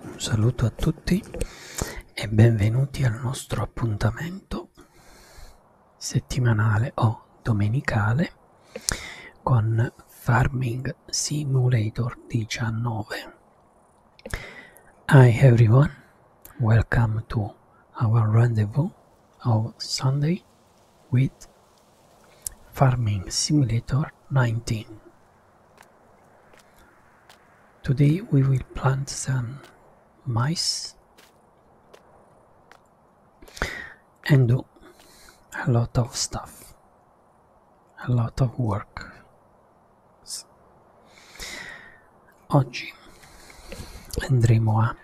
Un saluto a tutti e benvenuti al nostro appuntamento settimanale o domenicale con Farming Simulator 19. Hi everyone, welcome to our rendezvous of Sunday with Farming Simulator 19. Today we will plant some mice and do a lot of stuff, a lot of work. Oggi andremo a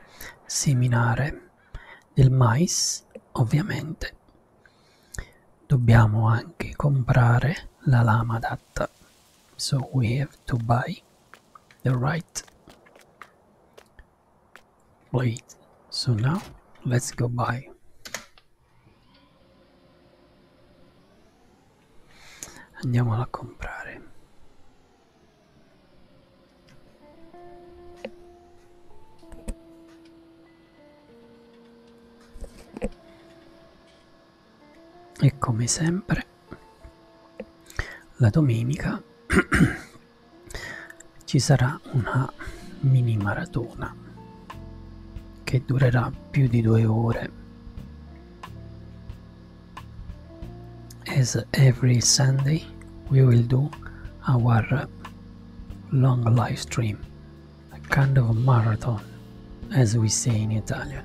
seminare del mais, ovviamente Dobbiamo anche comprare la lama adatta. So we have to buy the right blade. So now let's go buy. Andiamola a comprare e come sempre la domenica ci sarà una mini maratona che durerà più di due ore as every Sunday we will do our long live stream a kind of marathon, as we say in Italian.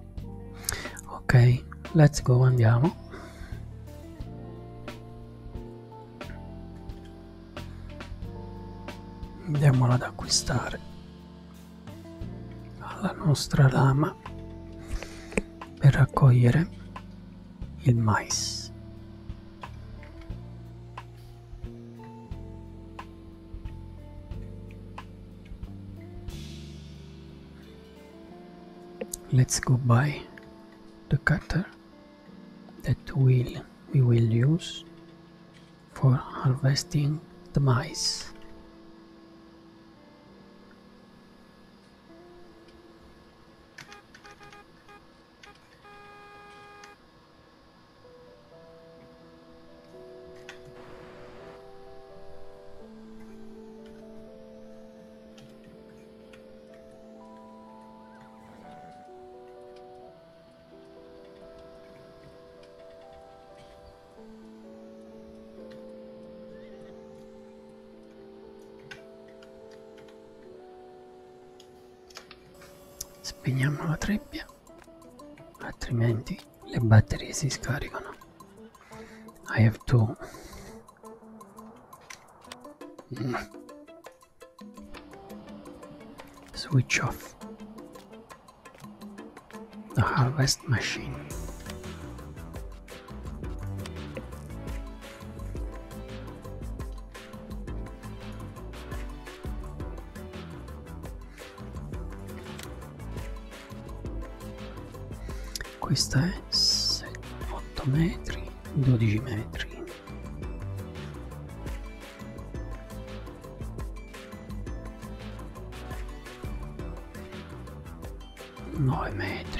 ok let's go andiamo andiamola ad acquistare alla nostra lama per raccogliere il mais let's go buy the cutter that will we will use for harvesting the mice Spegniamo la trebbia, altrimenti le batterie si scaricano I have to mm. switch off the harvest machine questa è 8 metri 12 metri nove metri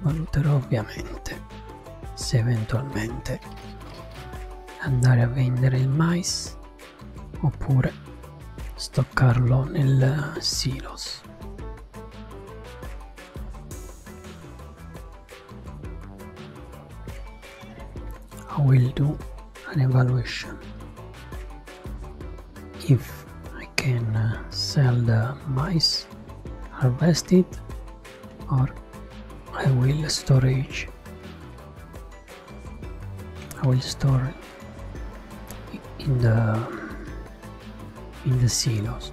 Valuterò ovviamente se eventualmente andare a vendere il mais oppure stoccarlo nel silos. I will do an evaluation if I can uh, sell the mice harvest it or I will storage I will store in the in the silos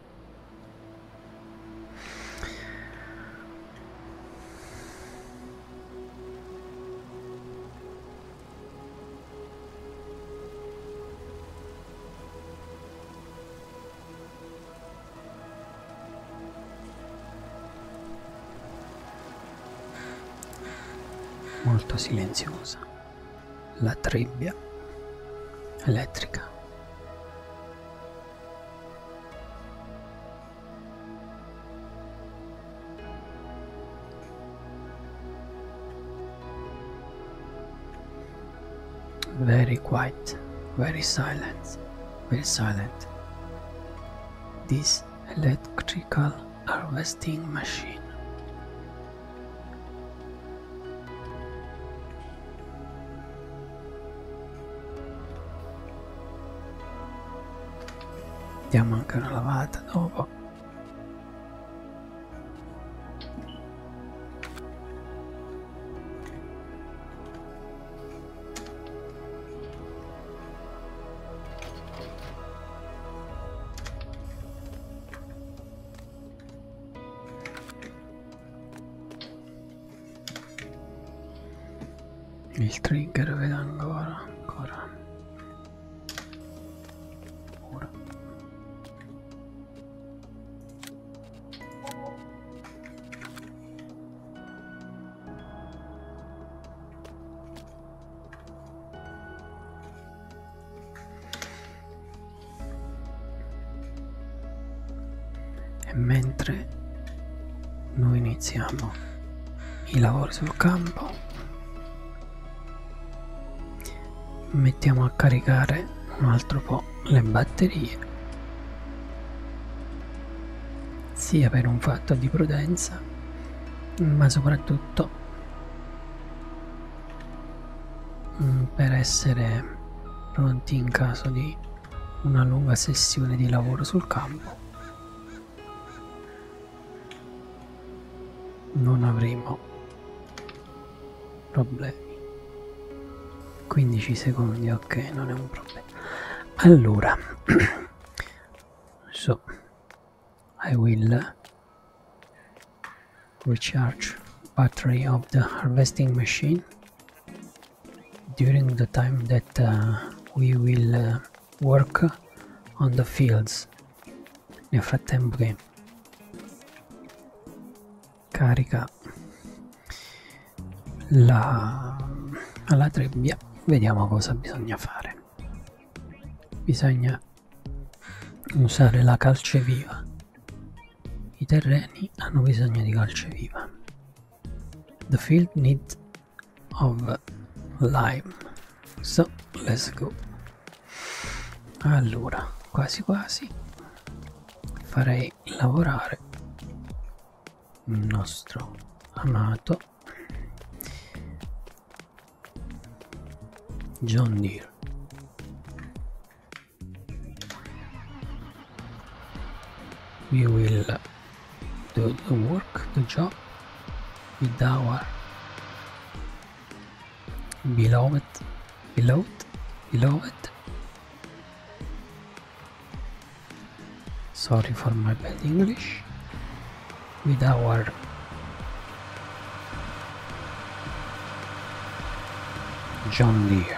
molto silenziosa, la trebbia elettrica. very quiet, very silent, very silent. This electrical harvesting machine. diamo anche una lavata dopo il trigger vedo ancora ancora Ora e mentre noi iniziamo i lavori sul campo mettiamo a caricare un altro po' le batterie sia per un fatto di prudenza ma soprattutto per essere pronti in caso di una lunga sessione di lavoro sul campo non avremo problemi 15 secondi ok non è un problema allora so I will recharge battery of the harvesting machine during the time that uh, we will uh, work on the fields nel frattempo che carica la, la trebbia vediamo cosa bisogna fare bisogna usare la calceviva i terreni hanno bisogno di calceviva the field needs of lime so let's go allora quasi quasi farei lavorare il nostro amato John Deere we will do the work the job with our beloved beloved beloved sorry for my bad english with our John Deere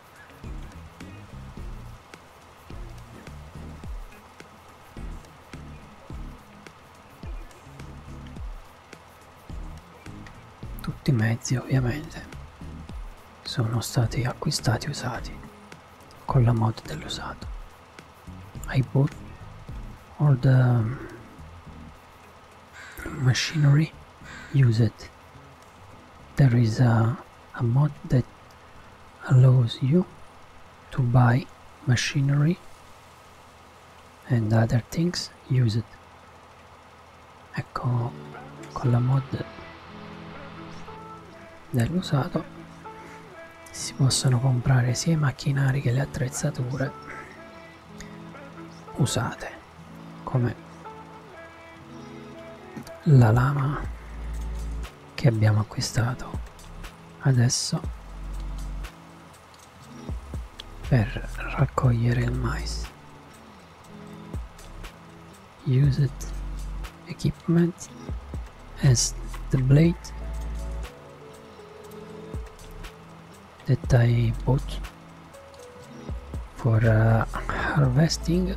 Tutti i mezzi ovviamente sono stati acquistati usati con la mod dell'usato. I bought all the machinery used there is a, a mod that allows you to buy machinery and other things used ecco con la mod dell'usato si possono comprare sia i macchinari che le attrezzature usate come la lama che abbiamo acquistato adesso per raccogliere il mais use it equipment as the blade that I bought for uh, harvesting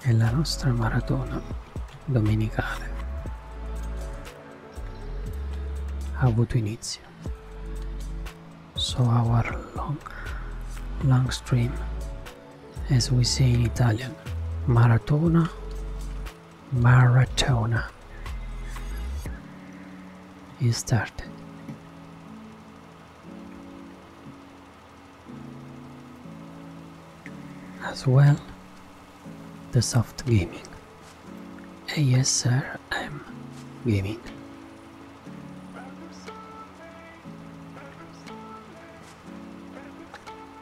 è la nostra maratona domenicale ha avuto inizio so our long long stream as we say in Italian maratona Maratona is started. As well, the soft gaming. Yes, sir, I'm gaming.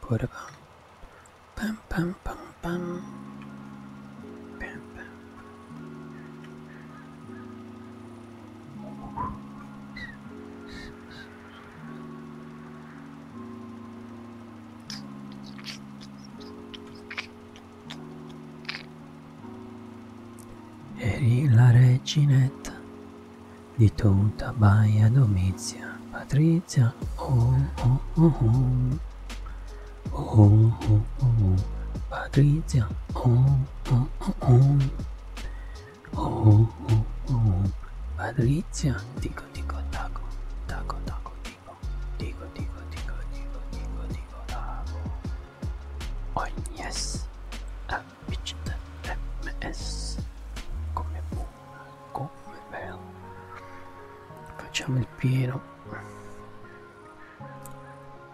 Put a bum. Bum bum bum bum. Bam Eri la reginetta di tutta Baia Domizia, Patrizia, oh oh oh oh, oh oh oh oh, Patrizia, oh oh, oh, oh, oh, oh, Patrizia, dico, dico, taco, taco, taco, dico, dico, dico, dico, dico, dico, dico, taco. Oh yes, ha vinto MS, come buona, come bella. Facciamo il pieno.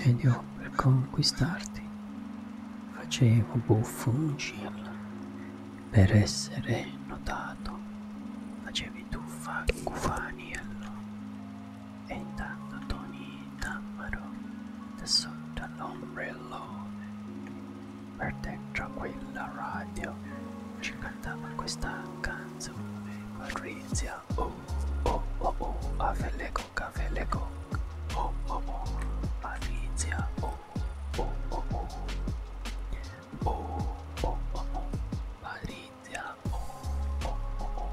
ed io per conquistarti facevo buffo un cirla per essere notato facevi tuffa cufaniello e intanto Tony Tammaro da sotto all'ombrellone per dentro quella radio ci cantava questa canzone Patrizia oh oh oh oh a Felecoca Felecoca oh oh oh Patrizia oh oh oh oh oh oh oh oh Patrizia oh oh oh oh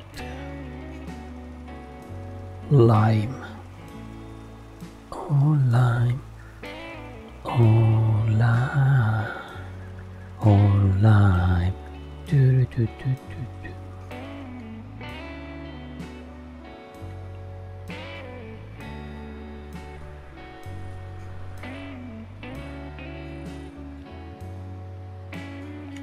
lime oh lime oh lime oh lime do do do do do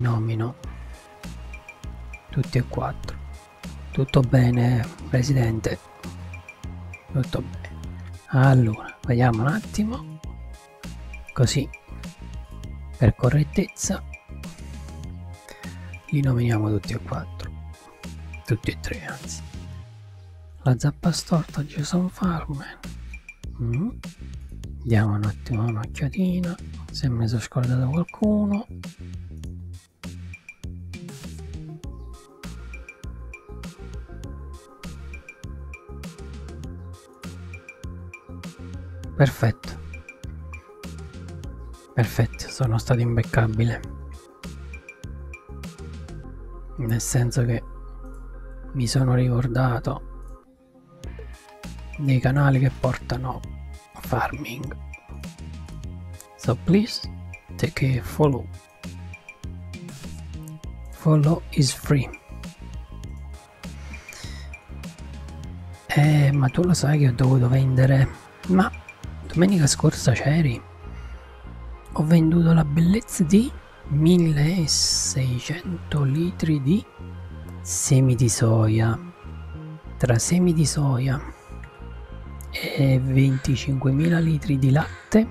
nomino tutti e quattro tutto bene presidente tutto bene allora vediamo un attimo così per correttezza li nominiamo tutti e quattro tutti e tre anzi la zappa storta Jason Farman mm -hmm diamo un attimo un'occhiatina se mi sono scordato qualcuno perfetto perfetto sono stato imbeccabile nel senso che mi sono ricordato dei canali che portano farming so please take a follow follow is free eh ma tu lo sai che ho dovuto vendere ma domenica scorsa c'eri ho venduto la bellezza di 1600 litri di poi semi di soia tra semi di soia e 25.000 litri di latte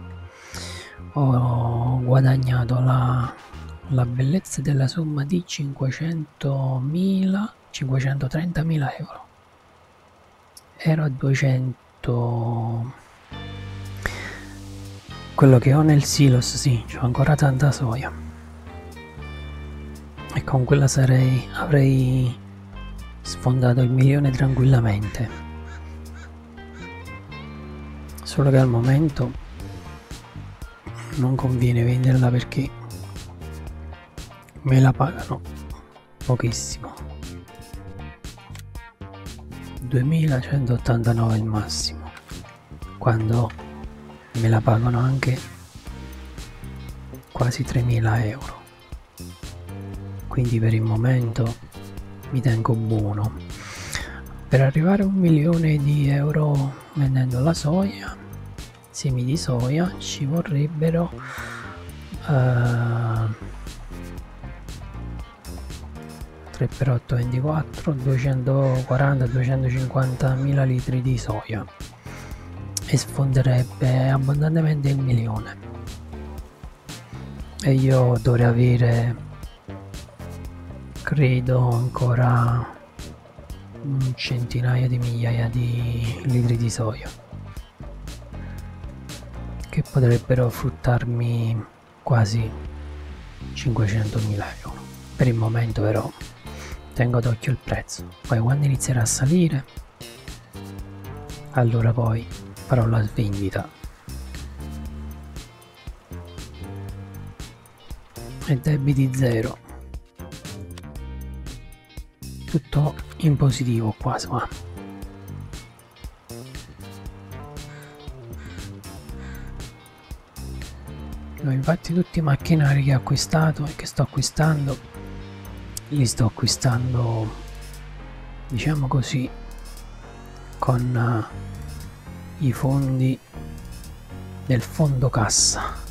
ho guadagnato la, la bellezza della somma di 500.000 530.000 euro ero a 200 quello che ho nel silos sì, c'ho ancora tanta soia e con quella sarei, avrei sfondato il milione tranquillamente. Solo che al momento non conviene venderla perché me la pagano pochissimo. 2189 il massimo quando me la pagano anche quasi 3.000 euro quindi per il momento mi tengo buono per arrivare a un milione di euro vendendo la soia semi di soia ci vorrebbero uh, eh, 3 per 8 24 240 250 mila litri di soia e sfonderebbe abbondantemente il milione e io dovrei avere credo ancora un centinaio di migliaia di litri di soia che potrebbero fruttarmi quasi 500.000 euro per il momento però tengo d'occhio il prezzo poi quando inizierà a salire allora poi farò la svendita e debiti zero tutto in positivo quasi qua No, infatti tutti i macchinari che ho acquistato e che sto acquistando li sto acquistando diciamo così con uh, i fondi del fondo cassa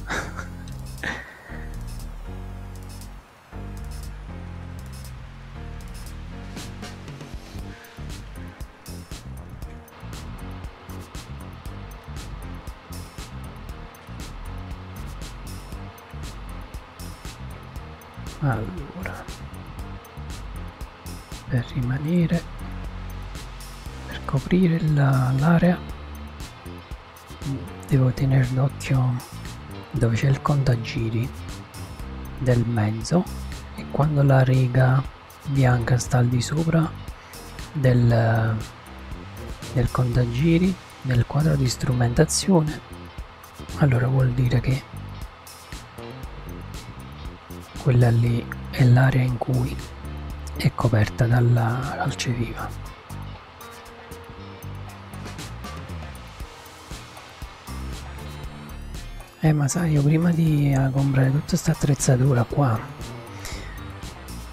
allora per rimanere per coprire l'area devo tenere d'occhio dove c'è il contagiri del mezzo e quando la riga bianca sta al di sopra del, del contagiri del quadro di strumentazione allora vuol dire che quella lì è l'area in cui è coperta dalla calce viva eh ma sai io prima di ah, comprare tutta questa attrezzatura qua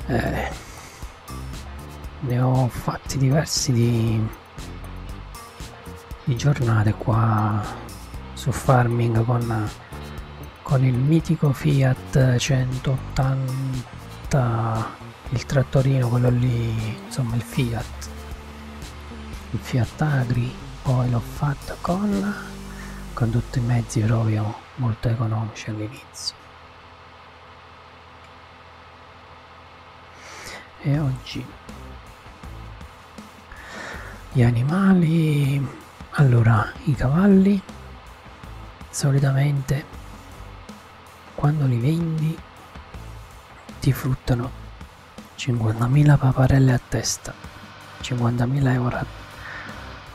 eh, ne ho fatti diversi di, di giornate qua su farming con, con il mitico Fiat 180 il trattorino quello lì insomma il Fiat il Fiat Agri poi l'ho fatta con con tutti i mezzi proprio molto economici all'inizio e oggi gli animali allora i cavalli solitamente quando li vendi ti fruttano 50.000 paparelle a testa 50.000 euro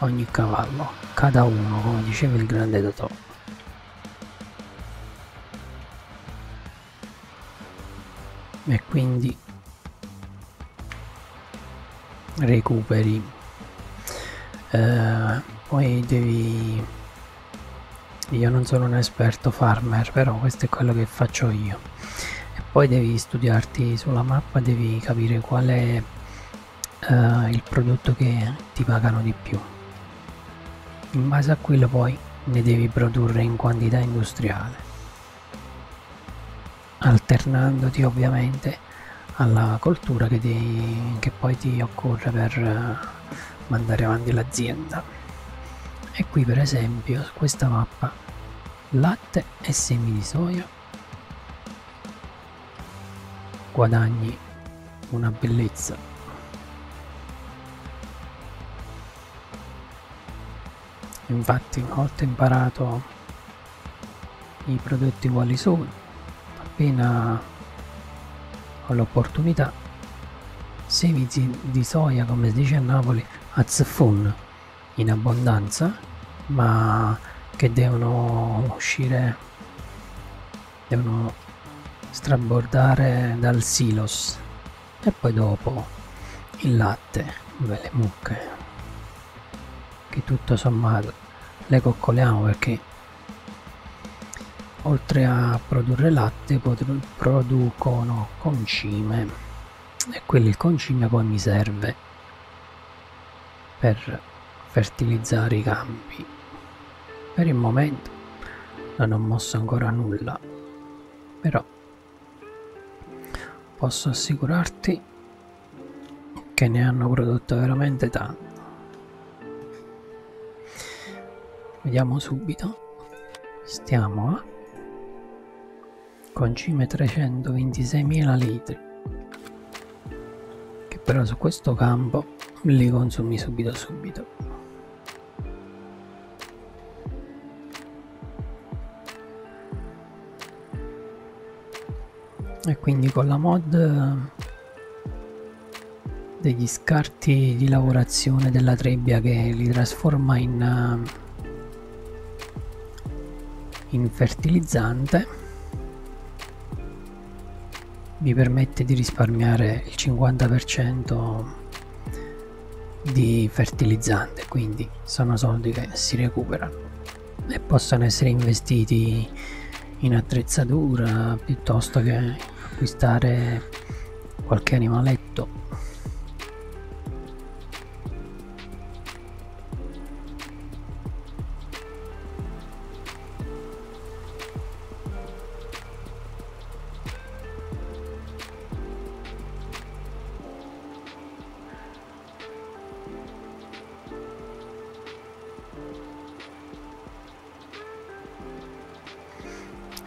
ogni cavallo cada uno come diceva il grande Totò e quindi recuperi eh, poi devi io non sono un esperto farmer però questo è quello che faccio io e poi devi studiarti sulla mappa devi capire quale eh, il prodotto che ti pagano di più in base a quello poi ne devi produrre in quantità industriale alternandoti ovviamente alla coltura che, ti, che poi ti occorre per eh, mandare avanti l'azienda e qui per esempio su questa mappa latte e semi di soia guadagni una bellezza. Infatti una volta imparato i prodotti quali sono, appena ho l'opportunità, semizi di soia come si dice a Napoli, a zeffun in abbondanza, ma che devono uscire devono strabordare dal silos e poi dopo il latte delle mucche che tutto sommato le coccoliamo perché oltre a produrre latte producono concime e quel concime poi mi serve per fertilizzare i campi. Per il momento non ho mosso ancora nulla, però posso assicurarti che ne hanno prodotto veramente tanto. Vediamo subito. Stiamo a concime 326.000 litri che però su questo campo li consumi subito subito e quindi con la mod eh, degli scarti di lavorazione della trebbia che li trasforma in, eh, in fertilizzante mi permette di risparmiare il 50% di fertilizzante quindi sono soldi che si recuperano e possono essere investiti in attrezzatura piuttosto che acquistare qualche animaletto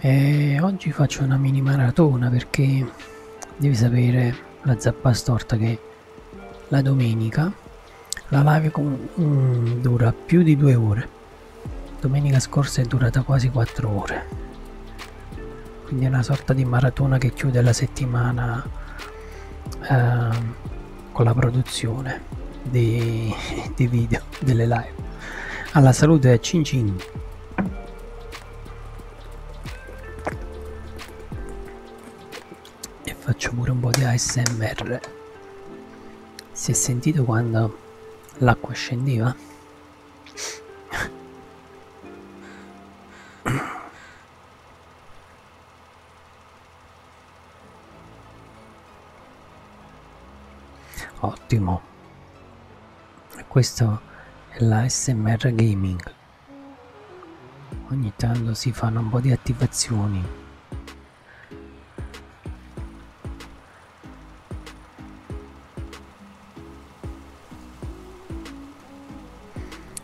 e oggi faccio una mini maratona perché devi sapere la zappa storta che la domenica la live mm, dura più di due ore domenica scorsa è durata quasi quattro ore quindi è una sorta di maratona che chiude la settimana eh, con la produzione dei, dei video delle live alla salute cin cin e faccio pure un po' di ASMR si è sentito quando l'acqua scendeva? Ottimo. Questo è la SMR Gaming. Ogni tanto si fanno un po' di attivazioni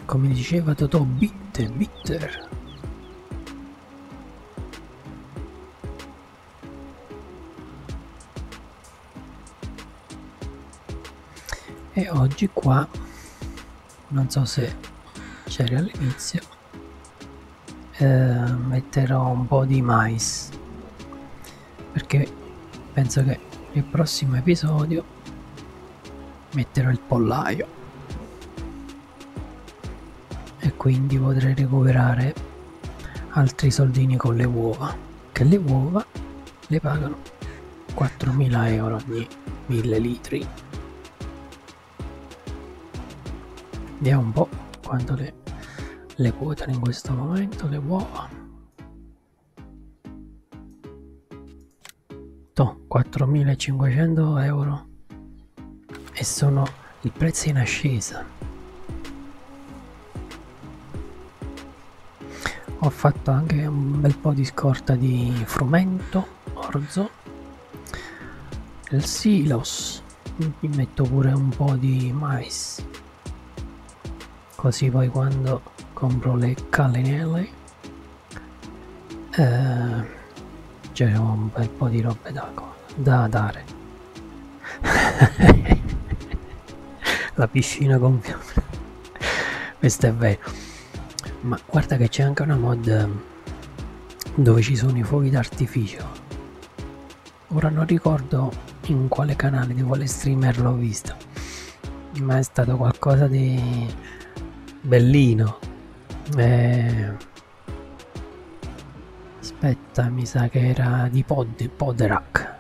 come diceva Totò, bitter, bitter. E oggi qua, non so se c'era all'inizio, eh, metterò un po' di mais perché penso che nel prossimo episodio metterò il pollaio e quindi potrei recuperare altri soldini con le uova che le uova le pagano 4.000 euro ogni 1000 litri vediamo un po' quando le, le quotano in questo momento le uova to 4500 euro e sono il prezzo in ascesa ho fatto anche un bel po' di scorta di frumento orzo il silos gli metto pure un po' di mais così poi quando compro le calinelle eh, c'è un bel po' di robe d'acqua da dare la piscina con questo è vero ma guarda che c'è anche una mod eh, dove ci sono i fuochi d'artificio Ora non ricordo in quale canale di quale streamer l'ho visto, ma è stato qualcosa di bellino. Eh... Aspetta, mi sa che era di Pod, Poderac.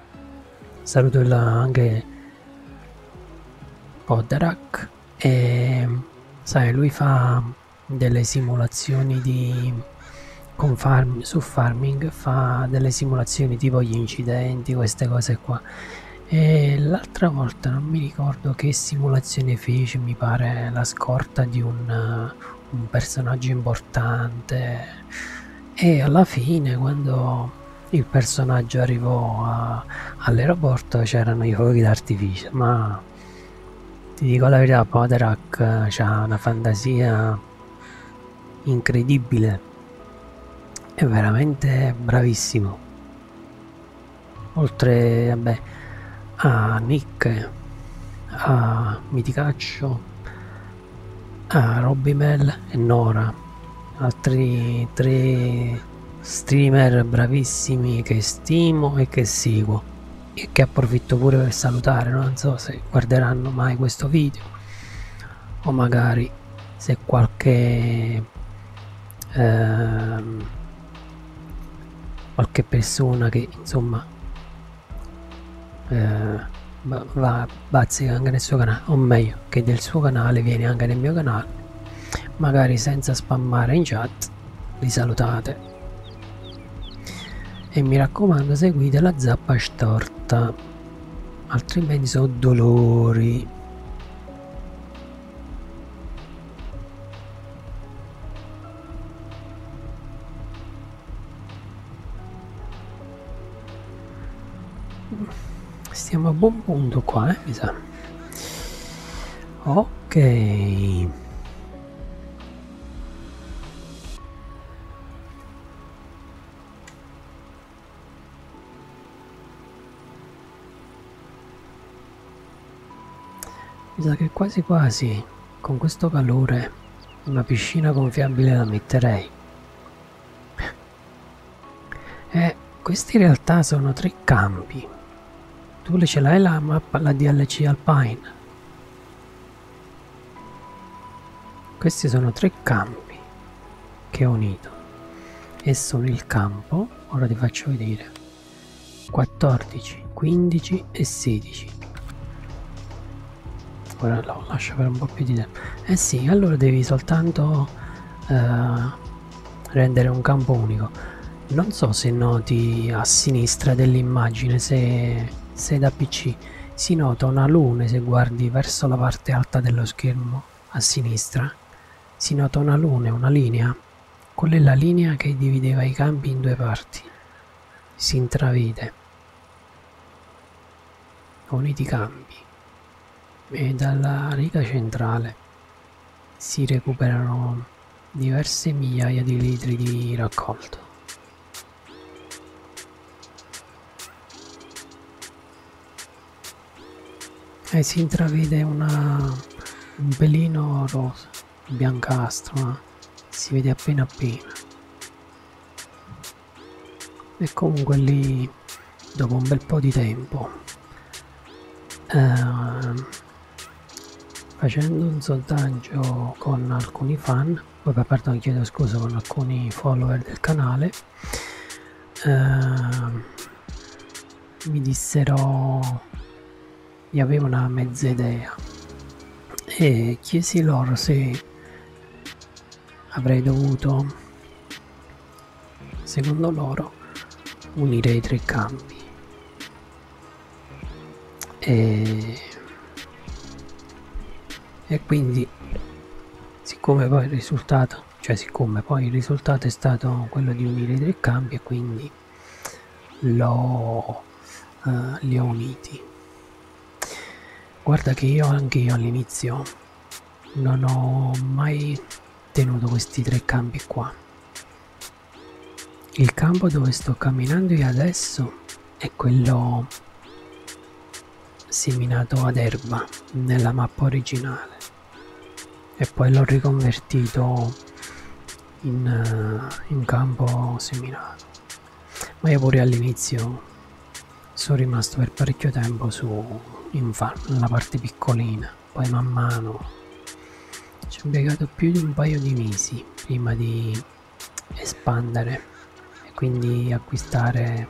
Saluto il, anche Poderac. E sai, lui fa delle simulazioni di con farm, su farming fa delle simulazioni tipo gli incidenti queste cose qua e l'altra volta non mi ricordo che simulazione fece mi pare la scorta di un, un personaggio importante e alla fine quando il personaggio arrivò all'aeroporto c'erano i fuochi d'artificio ma ma ti dico la verità, Podarak eh, ha una fantasia incredibile. È veramente bravissimo. Oltre vabbè, a Nick, a Miticaccio, a Robby Mel e Nora, altri tre streamer bravissimi che stimo e che seguo e che approfitto pure per salutare non so se guarderanno mai questo video o magari se qualche ehm, qualche persona che insomma eh, va bazzica anche nel suo canale o meglio che del suo canale viene anche nel mio canale magari senza spammare in chat li salutate e mi raccomando seguite la zappa storta altrimenti sono dolori stiamo a buon punto qua eh, mi sa ok mi sa che quasi quasi con questo calore una piscina gonfiabile la metterei. Eh, questi in realtà sono tre campi. Tu ce l'hai la mappa, la DLC Alpine. Questi sono tre campi che ho unito e sono il campo, ora ti faccio vedere, 14, 15 e 16. Ora lo lascio per un po' più di tempo. Eh sì, allora devi soltanto eh, rendere un campo unico. Non so se noti a sinistra dell'immagine, se sei da PC, si nota una luna se guardi verso la parte alta dello schermo, a sinistra. Si nota una luna, una linea. Quella è la linea che divideva i campi in due parti. Si intravede. Uniti i campi. E dalla riga centrale si recuperano diverse migliaia di litri di raccolto e eh, si intravede una, un pelino rosa biancastro ma eh. si vede appena appena e comunque lì dopo un bel po' di tempo eh, facendo un sondaggio con alcuni fan vabbè pardon chiedo scusa con alcuni follower del canale eh, mi dissero io avevo una mezza idea e chiesi loro se avrei dovuto secondo loro unire i tre campi e e quindi siccome poi il risultato cioè siccome poi il risultato è stato quello di unire i tre campi e quindi l'ho uh, li ho uniti guarda che io anche io all'inizio non ho mai tenuto questi tre campi qua il campo dove sto camminando io adesso è quello seminato ad erba nella mappa originale e poi l'ho riconvertito in, eh, in campo seminato ma io pure all'inizio sono rimasto per parecchio tempo su in farm nella parte piccolina poi man mano ci ho impiegato più di un paio di mesi prima di espandere e quindi acquistare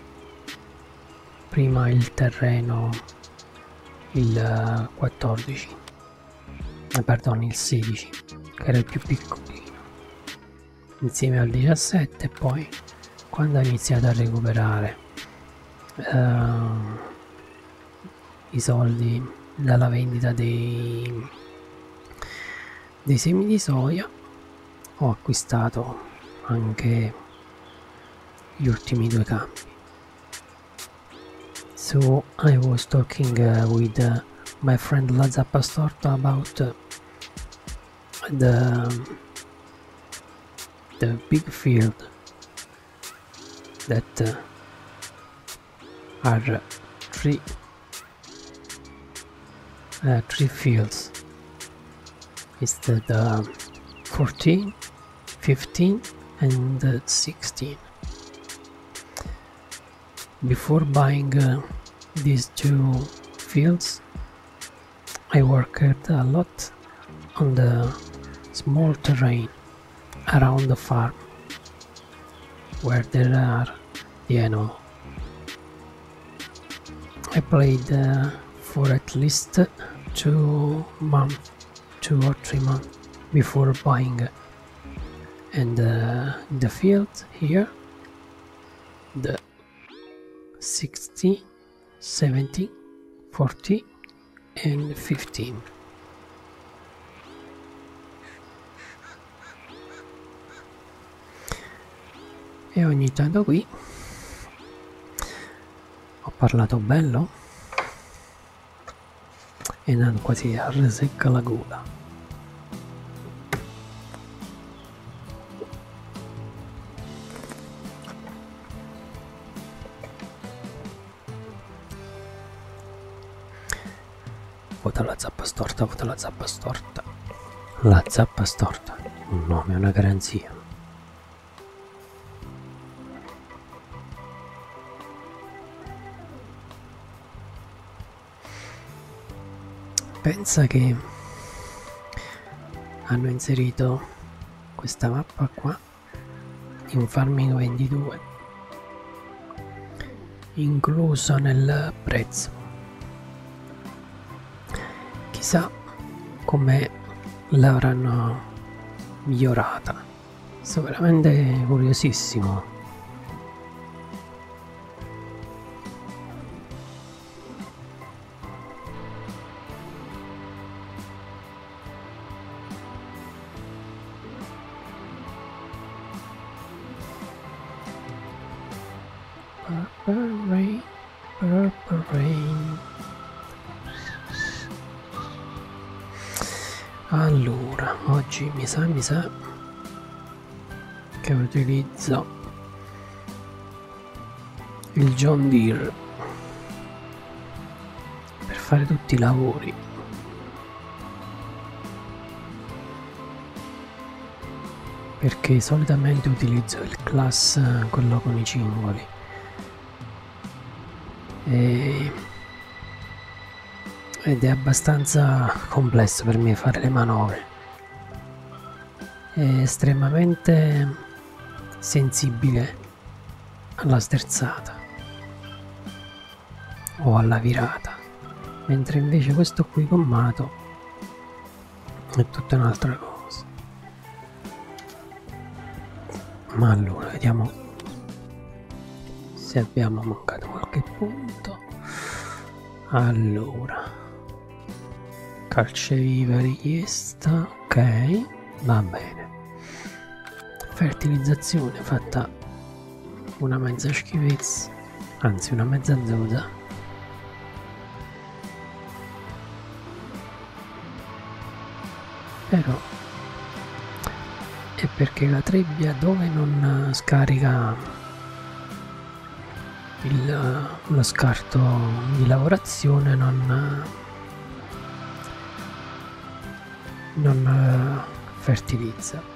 prima il terreno il 14 eh, eh perdono il 16 che era il più piccolino insieme al 17 e poi quando ha iniziato a recuperare eh, i soldi dalla vendita dei dei semi di soia ho acquistato anche gli ultimi due campi so I was talking uh, with uh, my friend Lazza Pastorta about uh, the the big field that uh, are uh, three uh, three fields it's the, uh, 14 15 and uh, 16 before buying uh, these two fields I worked a lot on the small terrain around the farm where there are Piano. I played uh, for at least two months, two or three months before buying. And uh, the field here, the 60, 70, 40 and 15. e ogni tanto qui ho parlato bello e non quasi resecca la gola vuota la zappa storta vuota la zappa storta la zappa storta, un nome è una garanzia. Pensa che hanno inserito questa mappa qua in Farming 22 incluso nel prezzo chissà come l'avranno migliorata sono veramente curiosissimo Purple rain, purple rain. Allora, oggi mi sa, mi sa che utilizzo il John Deere per fare tutti i lavori perché solitamente utilizzo il class eh, quello con i cingoli e... ed è abbastanza complesso per me fare le manovre è estremamente sensibile alla sterzata o alla virata mentre invece questo qui gommato è tutta un'altra cosa ma allora vediamo se abbiamo mancato qualche punto allora calceviva richiesta ok va bene fertilizzazione fatta una mezza schifezza anzi una mezza zozza. Però è perché la trebbia dove non eh, scarica il, eh, lo scarto di lavorazione non, eh, non fertilizza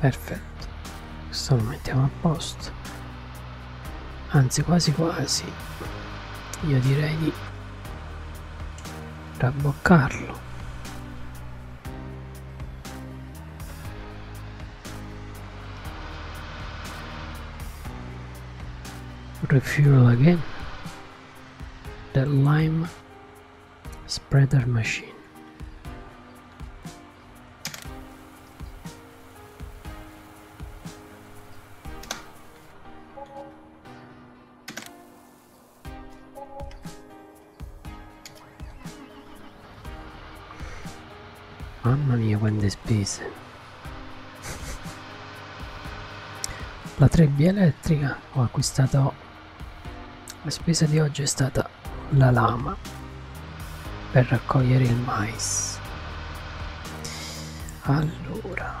Perfetto, questo lo mettiamo a posto. Anzi, quasi quasi, io direi di traboccarlo. Refuel again the lime spreader machine. Mamma mia quante spese! La 3BL elettrica ho acquistato la spesa di oggi è stata la lama per raccogliere il mais allora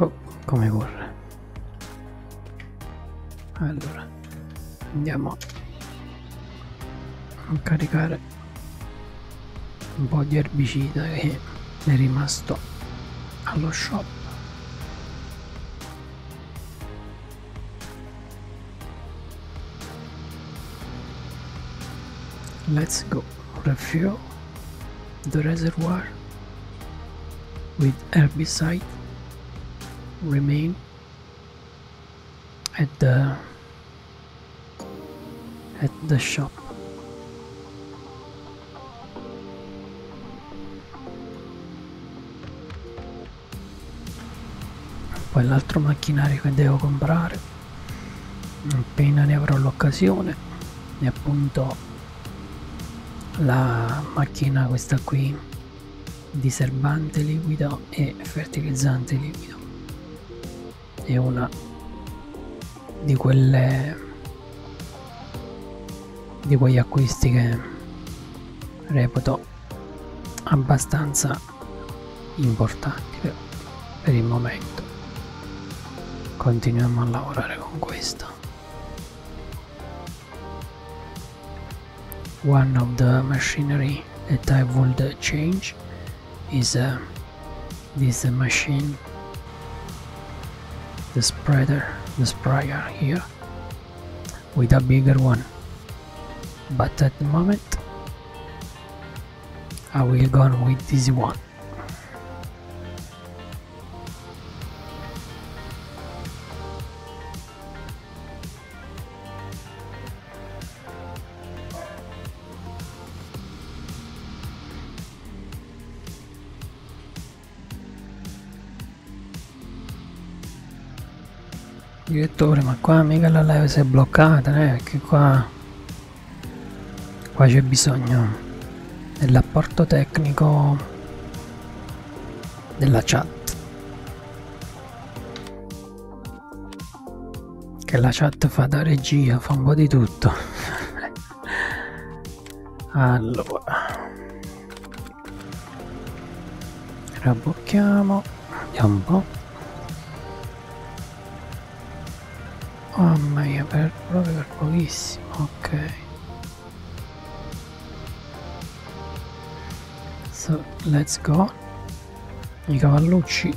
Oh, come corre. Allora, andiamo a caricare un po' di erbicida che è rimasto allo shop let's go refill the reservoir with herbicide remain at the at the shop poi l'altro macchinario che devo comprare appena ne avrò l'occasione e appunto la macchina questa qui di serbante liquido e fertilizzante liquido è una di quelle di quegli acquisti che reputo abbastanza importanti per, per il momento continuiamo a lavorare con questo one of the machinery that I would change is a uh, this a uh, machine the spreader the sprayer here with a bigger one but at the moment I will go on with this one Direttore, ma qua mica la live si è bloccata, eh, perché qua, qua c'è bisogno dell'apporto tecnico della chat che la chat fa da regia, fa un po' di tutto. allora. Rabocchiamo, vediamo un po'. Oh, mamma mia, per, proprio per pochissimo, ok. So, let's go. I cavallucci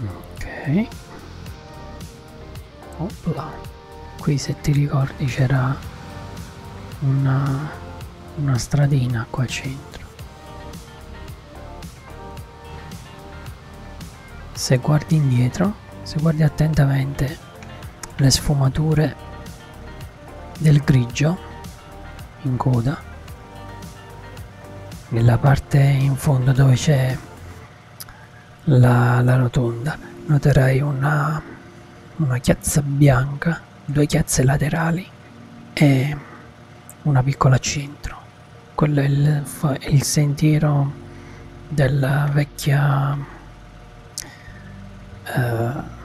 Ok. Opla. Qui se ti ricordi c'era una una stradina qua centro. Se guardi indietro, se guardi attentamente le sfumature del grigio in coda, nella parte in fondo dove c'è la, la, rotonda, noterai una, una chiazza bianca ha due chiazze laterali e una piccola centro. Quello è il, è il sentiero della vecchia eh,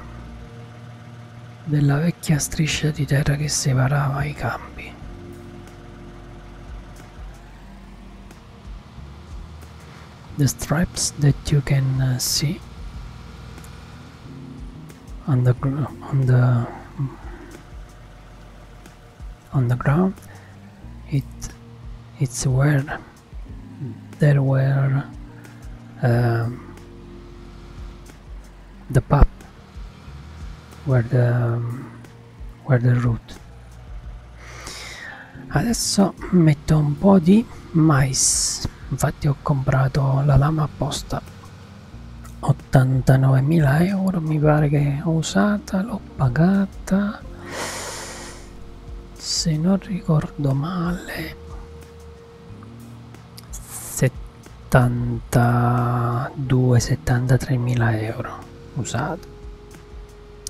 della vecchia striscia di terra che separava i campi. The stripes that you can see on the on the on the ground it it's where there were um, the pub where the where the root adesso metto un po' di mais infatti ho comprato la lama apposta 89.000 euro mi pare che ho usata l'ho pagata se non ricordo male 72 73.000 euro usata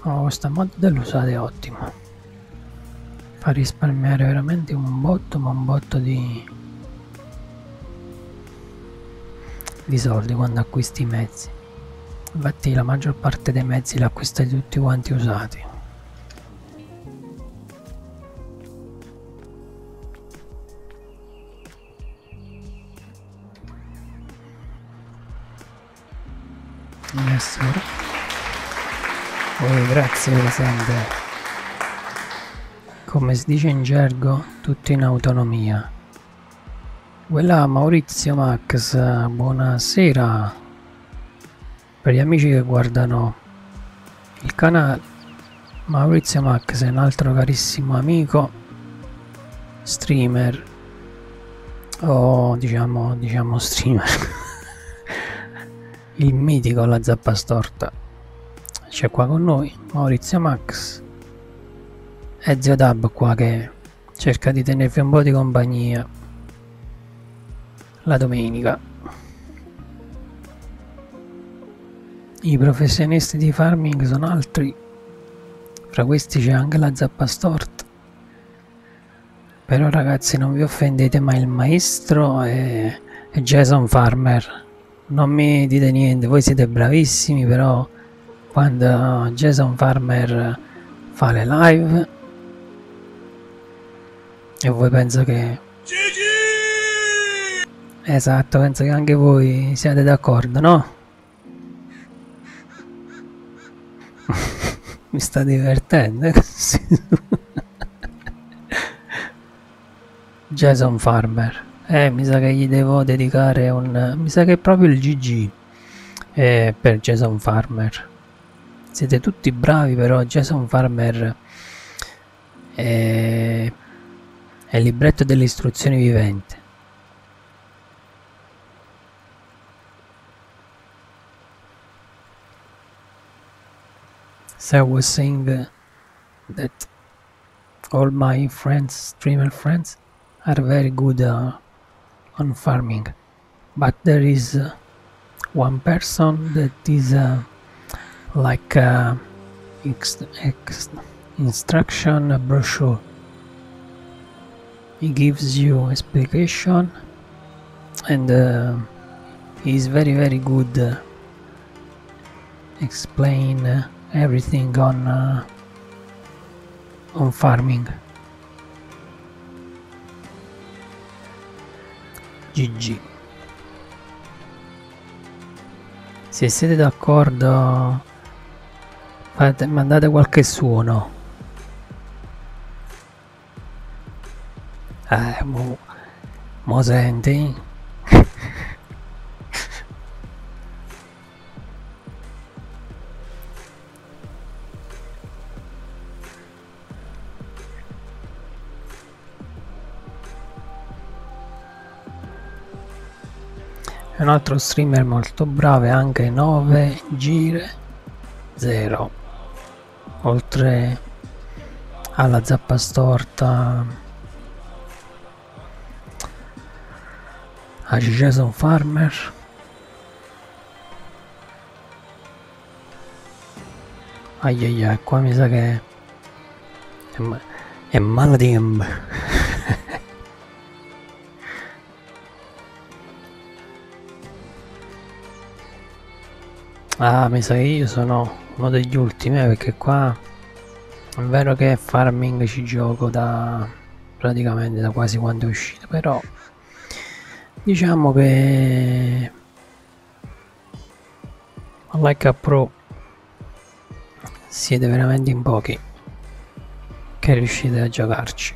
oh, questa mod dell'usata è ottima fa risparmiare veramente un botto ma un botto di di soldi quando acquisti i mezzi infatti la maggior parte dei mezzi li acquistai tutti quanti usati yes, oh, grazie per sempre come si dice in gergo, tutto in autonomia. Quella Maurizio Max, buonasera. Per gli amici che guardano il canale, Maurizio Max è un altro carissimo amico, streamer, o diciamo, diciamo streamer. il mitico alla zappa storta. C'è qua con noi Maurizio Max e Zio Dab qua che cerca di tenervi un po' di compagnia la domenica. I professionisti di farming sono altri, fra questi c'è anche la zappa storta. Però ragazzi non vi offendete ma il maestro è come Jason Farmer. Non mi dite niente, voi siete bravissimi, però quando Jason Farmer fa le live e voi penso che... Gigi! Esatto, penso che anche voi siate d'accordo, no? Mi sta divertendo così. Jason Farmer. Eh, mi sa che gli devo dedicare un... mi sa che è proprio il GG eh, per Jason Farmer. Siete tutti bravi però Jason Farmer è, eh, è il libretto delle istruzioni vivente. So I was saying that all my friends, streamer friends, are very good uh, on farming, but there is uh, one person that is uh, like instruction brochure. He gives you explanation, and he's very very good explain uh, everything on uh, on farming. GG. Se siete d'accordo fate, mandate qualche suono. Ah, boh. Mo... Mosente? È un altro streamer molto bravo anche 9 gire 0 oltre alla zappa store carta tá. a Jason Farmer. Ai ai ai, qua mi sa che è, é è é Maladim. Ah, mi sa che io sono uno degli ultimi eh, perché qua è vero che farming ci gioco da praticamente da quasi quando è uscito, però diciamo che like a pro siete veramente in pochi che riuscite a giocarci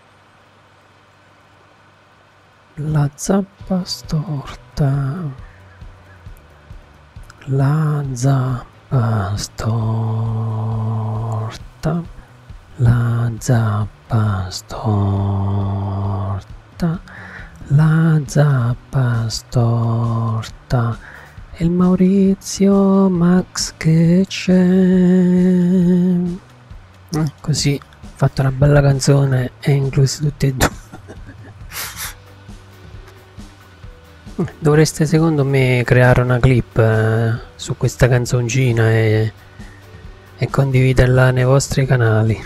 la zappa storta, la zappa storta, la zappa storta, la zappa storta, e il Maurizio Max che c'è. Così ho fatto una bella canzone e inclusi tutti e due. Dovreste secondo me creare una clip eh, su questa canzoncina e, e condividerla nei vostri canali.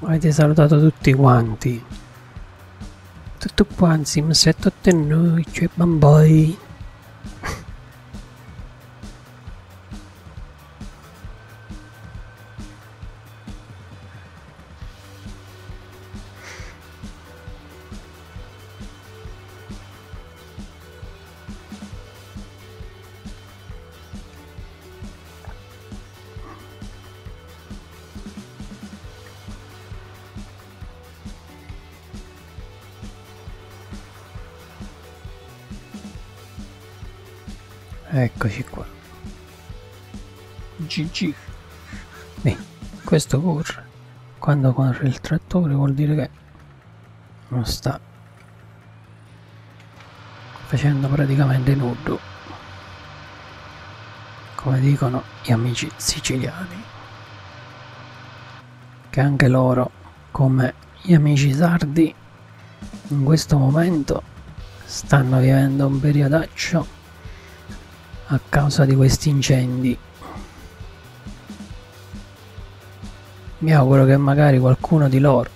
Avete salutato tutti quanti. Tutto quanti, ma se tutti noi, cioè bamboi. Eccoci qua. GG. Eh, questo corre quando corre il trattore vuol dire che non sta facendo praticamente nudo come dicono gli amici siciliani che anche loro come gli amici sardi in questo momento stanno vivendo un periodaccio a causa di questi incendi. Mi auguro che magari qualcuno di loro,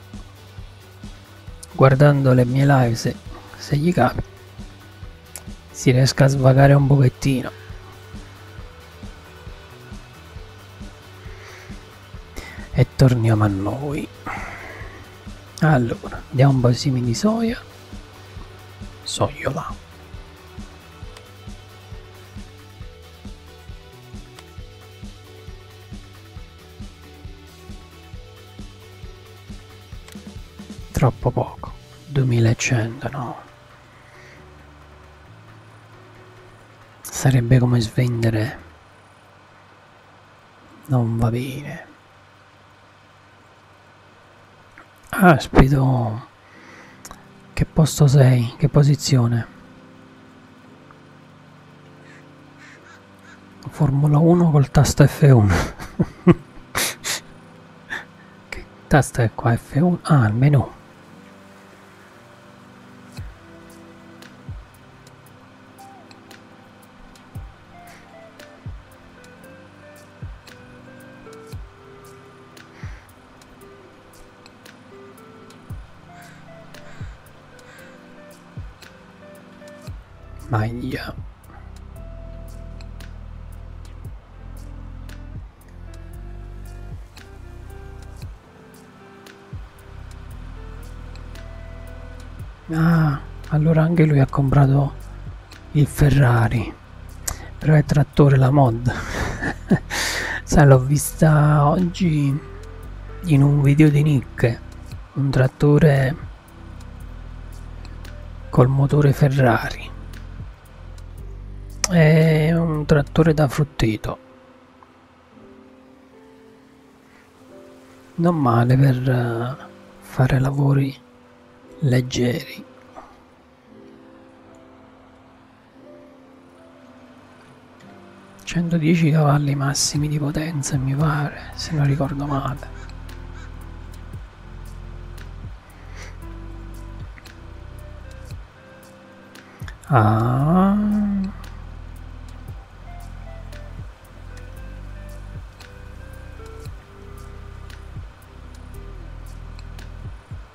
guardando le mie live, se, se gli capita, si riesca a svagare un pochettino. E torniamo a noi. Allora, diamo un po' di semi di soia. Soiola. Troppo poco, 2100 no. Sarebbe come svendere. Non va bene. Aspito. Che posto sei? Che posizione? Formula 1 col tasto F1. che tasta è qua? F1? Ah, il menu maglia ah allora anche lui ha comprato il Ferrari però è trattore la mod sai l'ho vista oggi in un video di Nick un trattore col motore Ferrari è un trattore da frutteto non male per eh, fare lavori leggeri 110 cavalli massimi di potenza mi pare se non ricordo male Ah.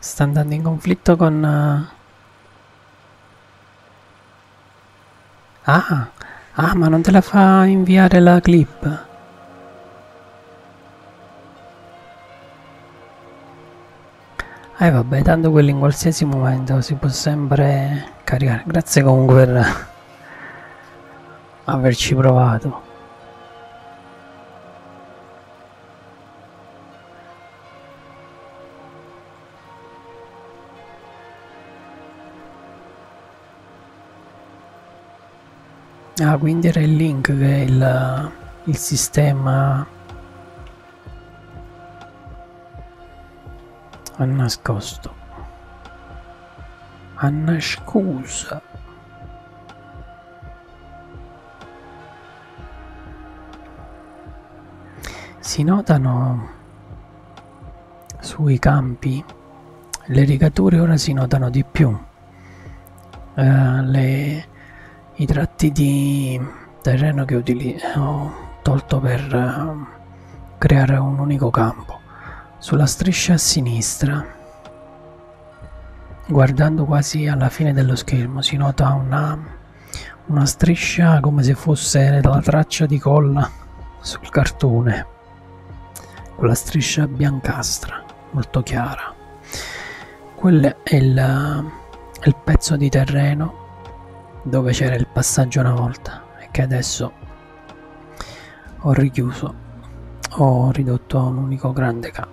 sta andando in conflitto con... Uh... Ah, ah, ma non te la fa inviare la clip. Eh vabbè, tanto quello in qualsiasi momento si può sempre caricare. Grazie comunque per averci provato. Ah, quindi era il link del il sistema a nascosto. Anna scusa. Si notano sui campi le rigature ora si notano di più. Eh, le, I tratti di terreno che ho tolto per eh, creare un unico campo. Sulla striscia a sinistra, guardando quasi alla fine dello schermo, si nota una una striscia come se fosse la traccia di colla sul cartone quella striscia biancastra molto chiara quello è il, è il pezzo di terreno dove c'era il passaggio una volta e che adesso ho richiuso ho ridotto a un unico grande campo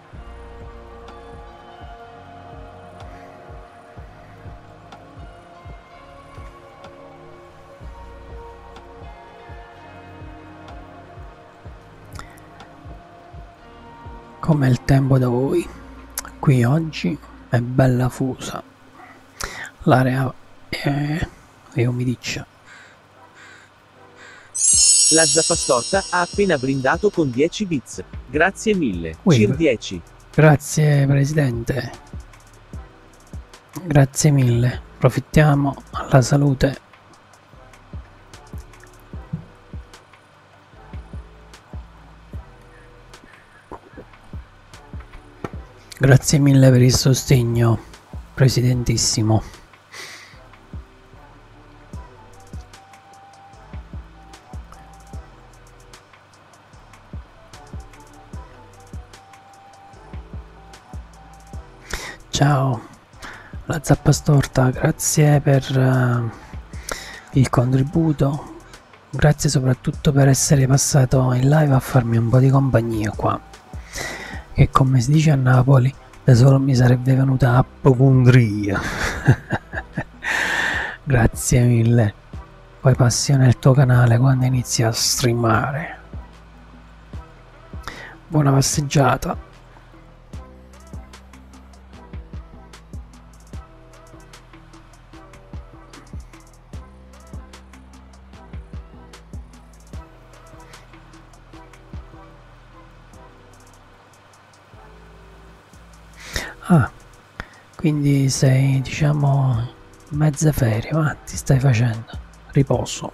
Come il tempo da voi, qui oggi è bella fusa, l'area è, è umidiccia. La zappastorta ha appena brindato con 10 bit. Fritz, grazie mille. Cir 10. Grazie Presidente. Grazie mille. Approfittiamo alla salute. Grazie mille per il sostegno, Presidentissimo. Ciao, la zappa storta, grazie per uh, il contributo, grazie soprattutto per essere passato in live a farmi un po' di compagnia qua, che come si dice a Napoli, da solo mi sarebbe venuta appocondria. Grazie mille. Poi passi nel tuo canale quando inizi a streamare. Buona passeggiata. Ah, quindi sei, diciamo, mezze ferie, ma ti stai facendo riposo.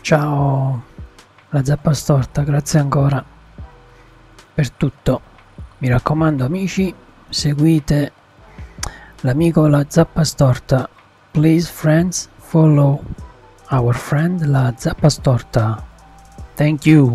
Ciao, la zappa storta, grazie ancora per tutto. Mi raccomando amici, seguite l'amico la zappa storta. Please friends, follow our friend la zappa storta. Thank you.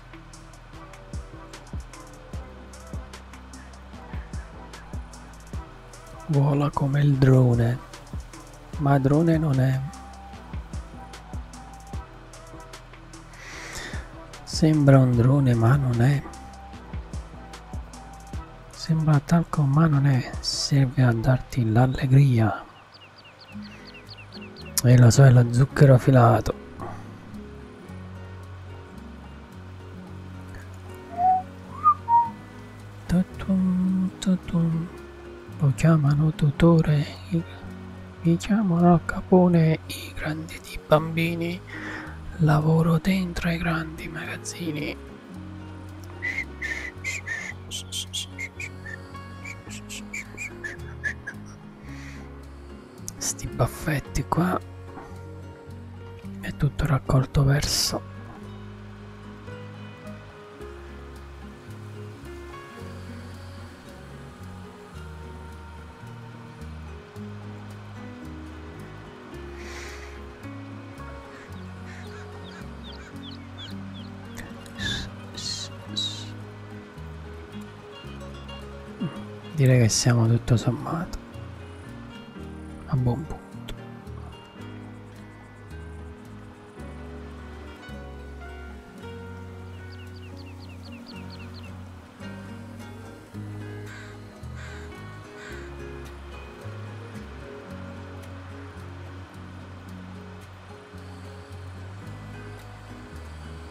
Vola come il drone, ma drone non è. Sembra un drone ma non è. Sembra talco ma non è. Serve a darti l'allegria. E la sorella zucchero filato. Tutum, tutum. Lo chiamano tutore, mi chiamano capone i grandi di bambini. Lavoro dentro ai grandi magazzini sti baffetti qua è tutto raccolto verso direi che siamo tutto sommato a buon punto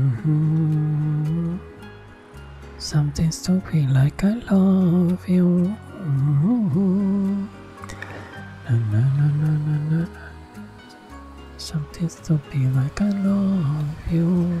Mm-hmm. Something stupid like I love you. Mm-hmm. Na, na, na, na, na, na. Something stupid like I love you.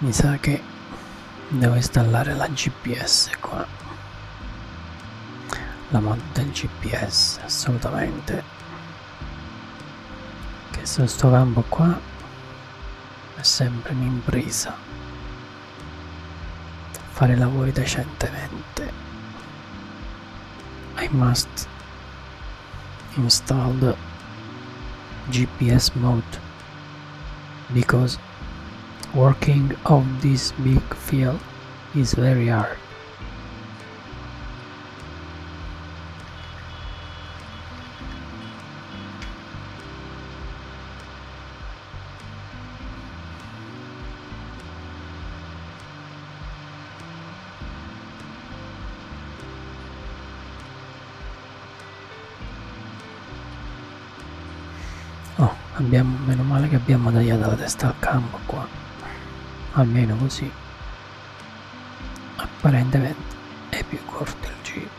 mi sa che devo installare la gps qua la mod del gps assolutamente che su sto campo qua è sempre un'impresa fare lavori decentemente I must install the GPS mode because working of this big field is very hard. Oh, abbiamo, meno male che abbiamo tagliato la testa al campo qua. Almeno così. Apparentemente è più corto il giro.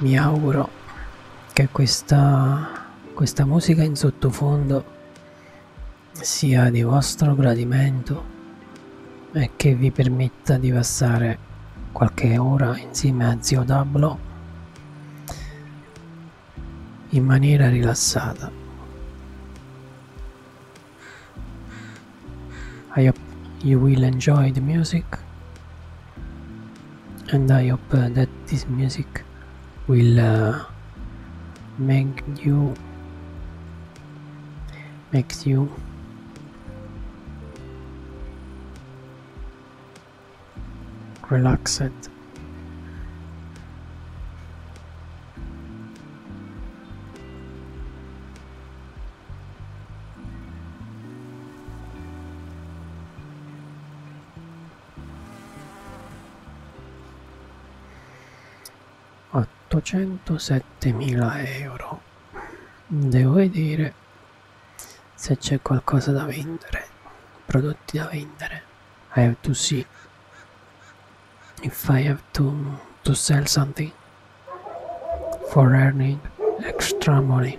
Mi auguro che questa, questa musica in sottofondo sia di vostro gradimento e che vi permetta di passare qualche ora insieme a Zio Dablo in maniera rilassata. I hope you will enjoy the music and I hope uh, that this music will uh, make you makes you relaxed 807.000 euro devo vedere se c'è qualcosa da vendere prodotti da vendere I have to see if I have to to sell something for earning extra money.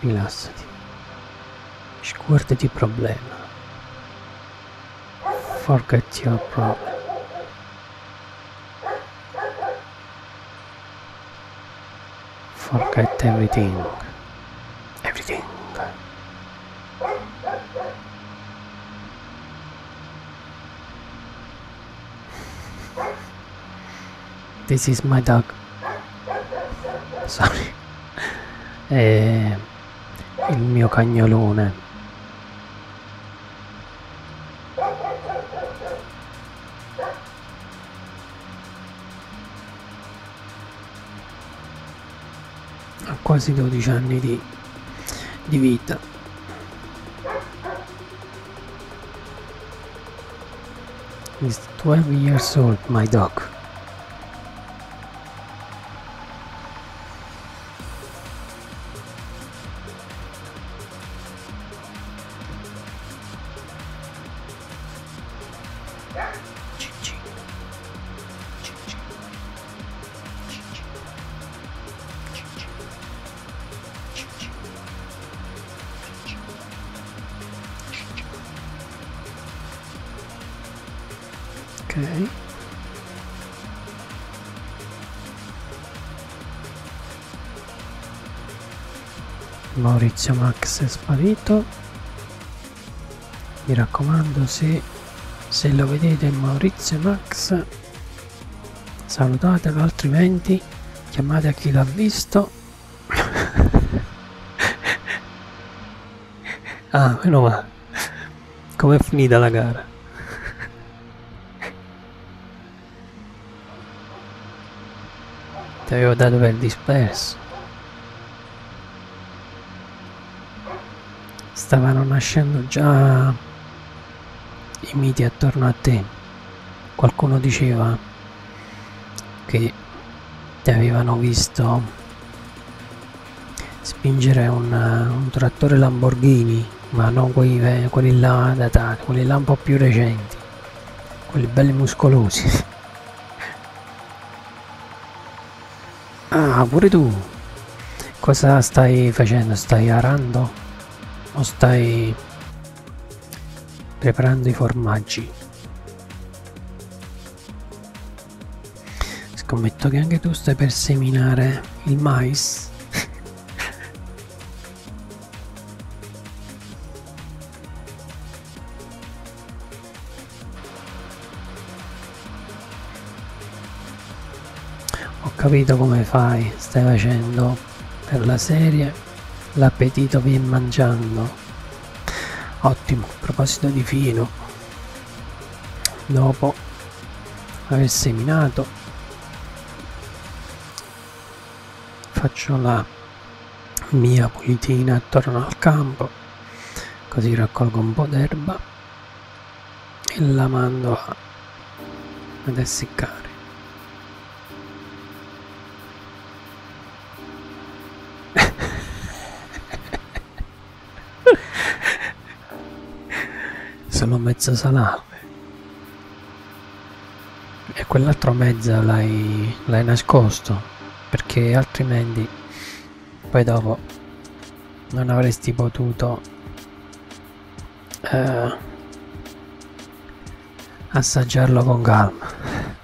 Rilassati. Scuotiti il problema. Forget your problem. Forget everything. Everything. This is my dog. Sorry. È il mio cagnolone. Ha quasi 12 anni di, di vita. He's 12 years old, my dog. Ok. Maurizio Max è sparito. Mi raccomando se, se lo vedete Maurizio Max salutatelo altrimenti chiamate a chi l'ha visto ah, meno male. Com'è finita la gara? Ti avevo dato per disperso. Stavano nascendo già i miti attorno a te qualcuno diceva che ti avevano visto spingere un, un trattore Lamborghini ma non quelli, quelli là datati, quelli là un po' più recenti quelli belli muscolosi ah pure tu cosa stai facendo? stai arando? o stai preparando i formaggi. Scommetto che anche tu stai per seminare il mais. Ho capito come fai, stai facendo per la serie l'appetito vien mangiando ottimo a proposito di vino dopo aver seminato faccio la mia pulitina attorno al campo così raccolgo un po' d'erba e la mando ad essiccare sono mezzo salame. E quell'altro mezzo l'hai nascosto, perché altrimenti poi dopo non avresti potuto eh, assaggiarlo con calma.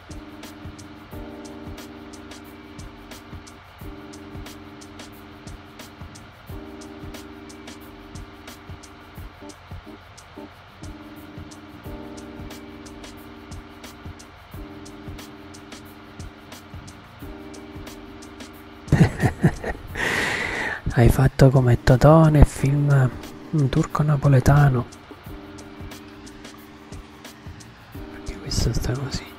Hai fatto come Totò nel film un turco napoletano anche questo sta così.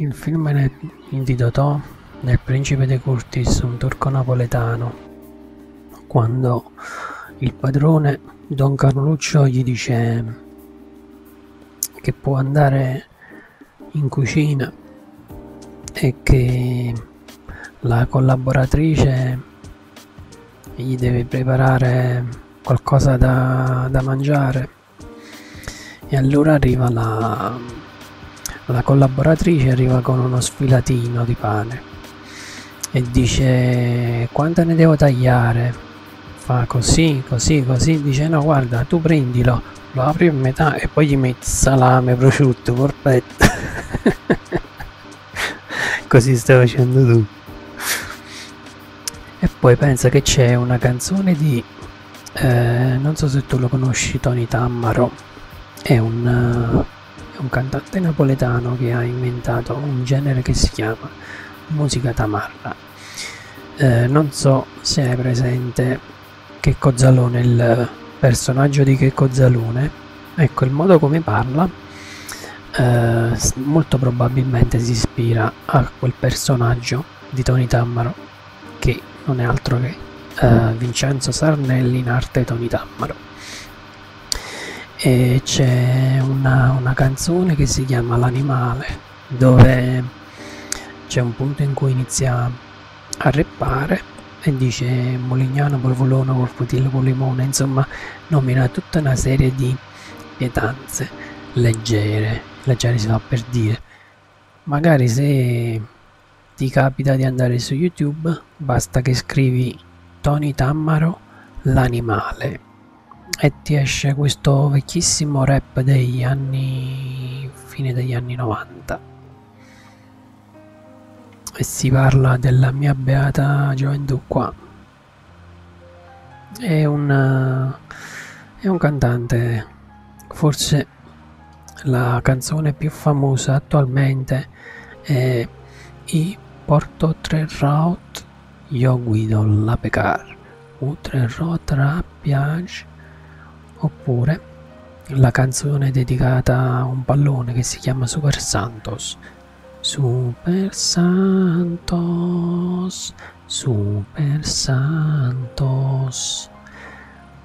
Il film è di Totò nel principe De Curtis, un turco napoletano, quando il padrone Don Carluccio gli dice che può andare in cucina e che la collaboratrice gli deve preparare qualcosa da, da mangiare e allora arriva la, la collaboratrice arriva con uno sfilatino di pane e dice quanto ne devo tagliare fa così, così, così, dice no guarda tu prendilo, lo apri a metà e poi gli metti salame, prosciutto, corpetto. così stai facendo tu. E poi pensa che c'è una canzone di, eh, non so se tu lo conosci, Tony Tammaro, è un, eh, è un cantante napoletano che ha inventato un genere che si chiama musica tamarra eh, non so se hai presente Checco Zalone, il personaggio di Checco Zalone. Ecco, il modo come parla eh, molto probabilmente si ispira a quel personaggio di Tony Tammaro, che non è altro che eh, mm. Vincenzo Sarnelli in arte Tony Tammaro e c'è una, una, canzone che si chiama L'animale dove c'è un punto in cui inizia a reppare e dice Molignano, Polvolone, Corfutillo, Polimone, insomma nomina tutta una serie di pietanze leggere, leggere si fa per dire. Magari se ti capita di andare su YouTube basta che scrivi Tony Tammaro l'animale e ti esce questo vecchissimo rap degli anni fine degli anni 90 e si parla della mia beata gioventù qua è un è un cantante forse la canzone più famosa attualmente è i porto tre route io guido la pecar Utrecht Rapiage oppure la canzone dedicata a un pallone che si chiama Super Santos Super Santos Super Santos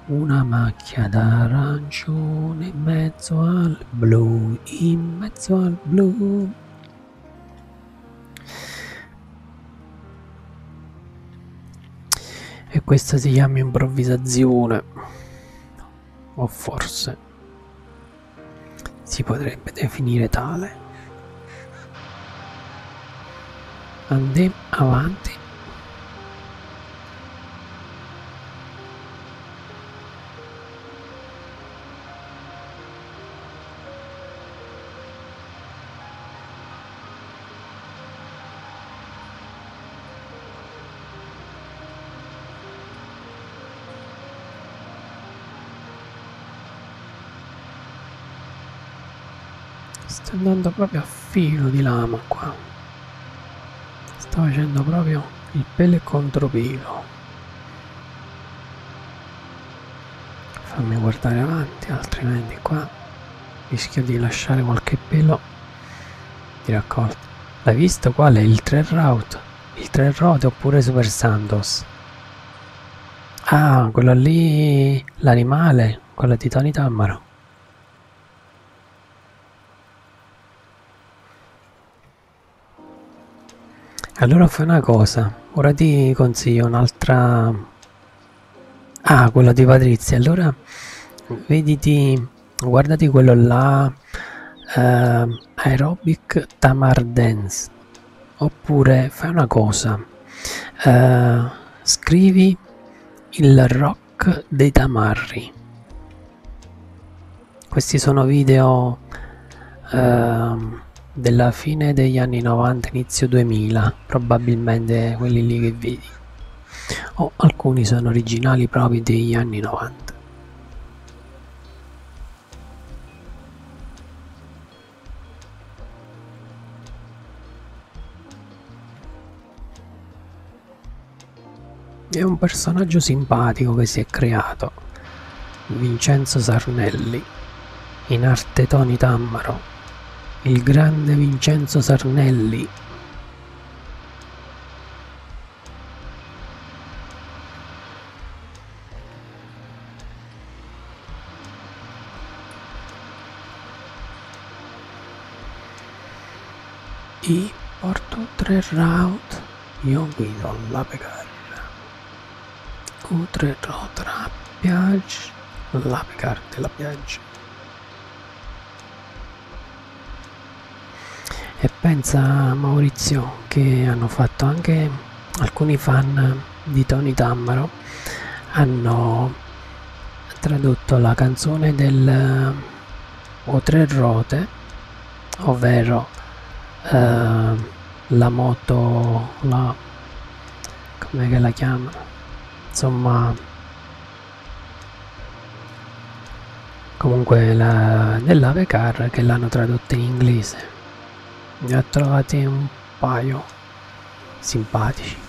una macchia d'arancione in mezzo al blu in mezzo al blu e questa si chiama improvvisazione o forse si potrebbe definire tale andiamo avanti sta andando proprio a filo di lama qua sta facendo proprio il pelo contro pelo fammi guardare avanti altrimenti qua rischia di lasciare qualche pelo di raccolta l'hai visto qual è il tre route il tre route oppure super sandos ah quello lì l'animale quello di Tony Tammaro allora fai una cosa ora ti consiglio un'altra Ah, quello di Patrizia. Allora, vediti, guardati quello là, eh, Aerobic Tamar Dance. Oppure fai una cosa, eh, scrivi il rock dei tamarri. Questi sono video eh, della fine degli anni 90, inizio 2000 sono probabilmente quelli lì che vedi o alcuni sono originali proprio degli anni 90 è un personaggio simpatico che si è creato Vincenzo Sarnelli in arte Toni Tammaro il grande Vincenzo Sarnelli. I porto tre route, io guido la pegarra. Q3 road la Piaggia, la Picard della Piaggia piace. E pensa Maurizio che hanno fatto anche alcuni fan di Tony Tammaro hanno tradotto la canzone del O tre rote, ovvero eh, la moto, la, come la chiamano? insomma comunque la, nell'avecar che l'hanno tradotta in inglese ne ho trovati un paio simpatici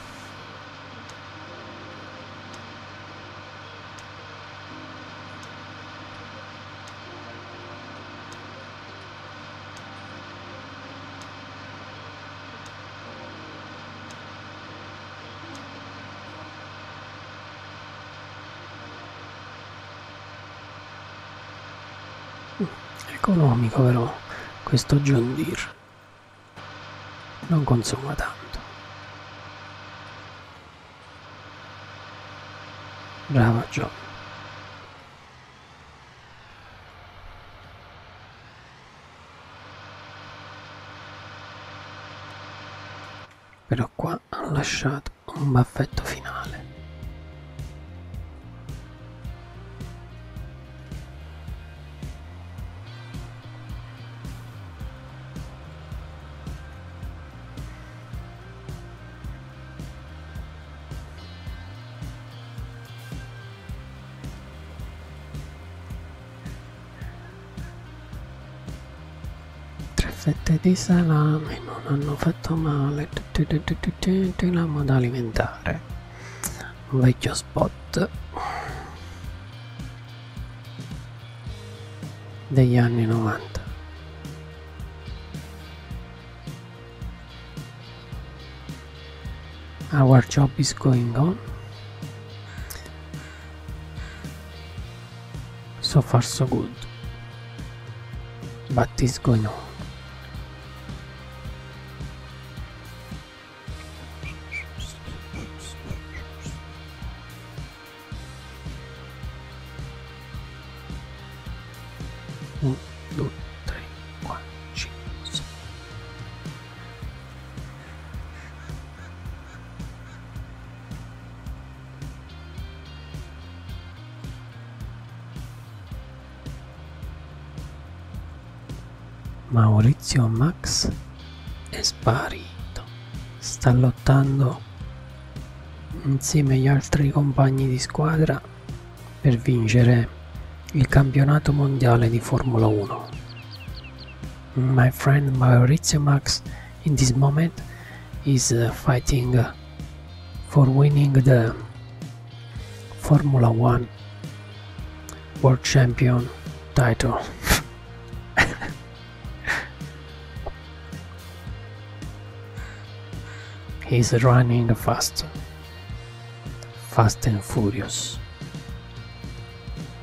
Mm, economico però questo John Deere non consuma tanto. Brava John. Però qua hanno lasciato un baffetto finale. Tre fette di salame non hanno fatto male. Tramo da alimentare. Un vecchio spot degli anni 90. our job is going on so far so good What is going on One, two, three, one, two, three. Maurizio Max è sparito, sta lottando insieme agli altri compagni di squadra per vincere il campionato mondiale di Formula 1. My friend Maurizio Max in this moment is uh, fighting uh, for winning the Formula 1 World Champion title. He's running fast, fast and furious.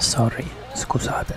Sorry, scusate.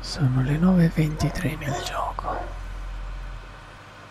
Sono le 9.23 nel gioco.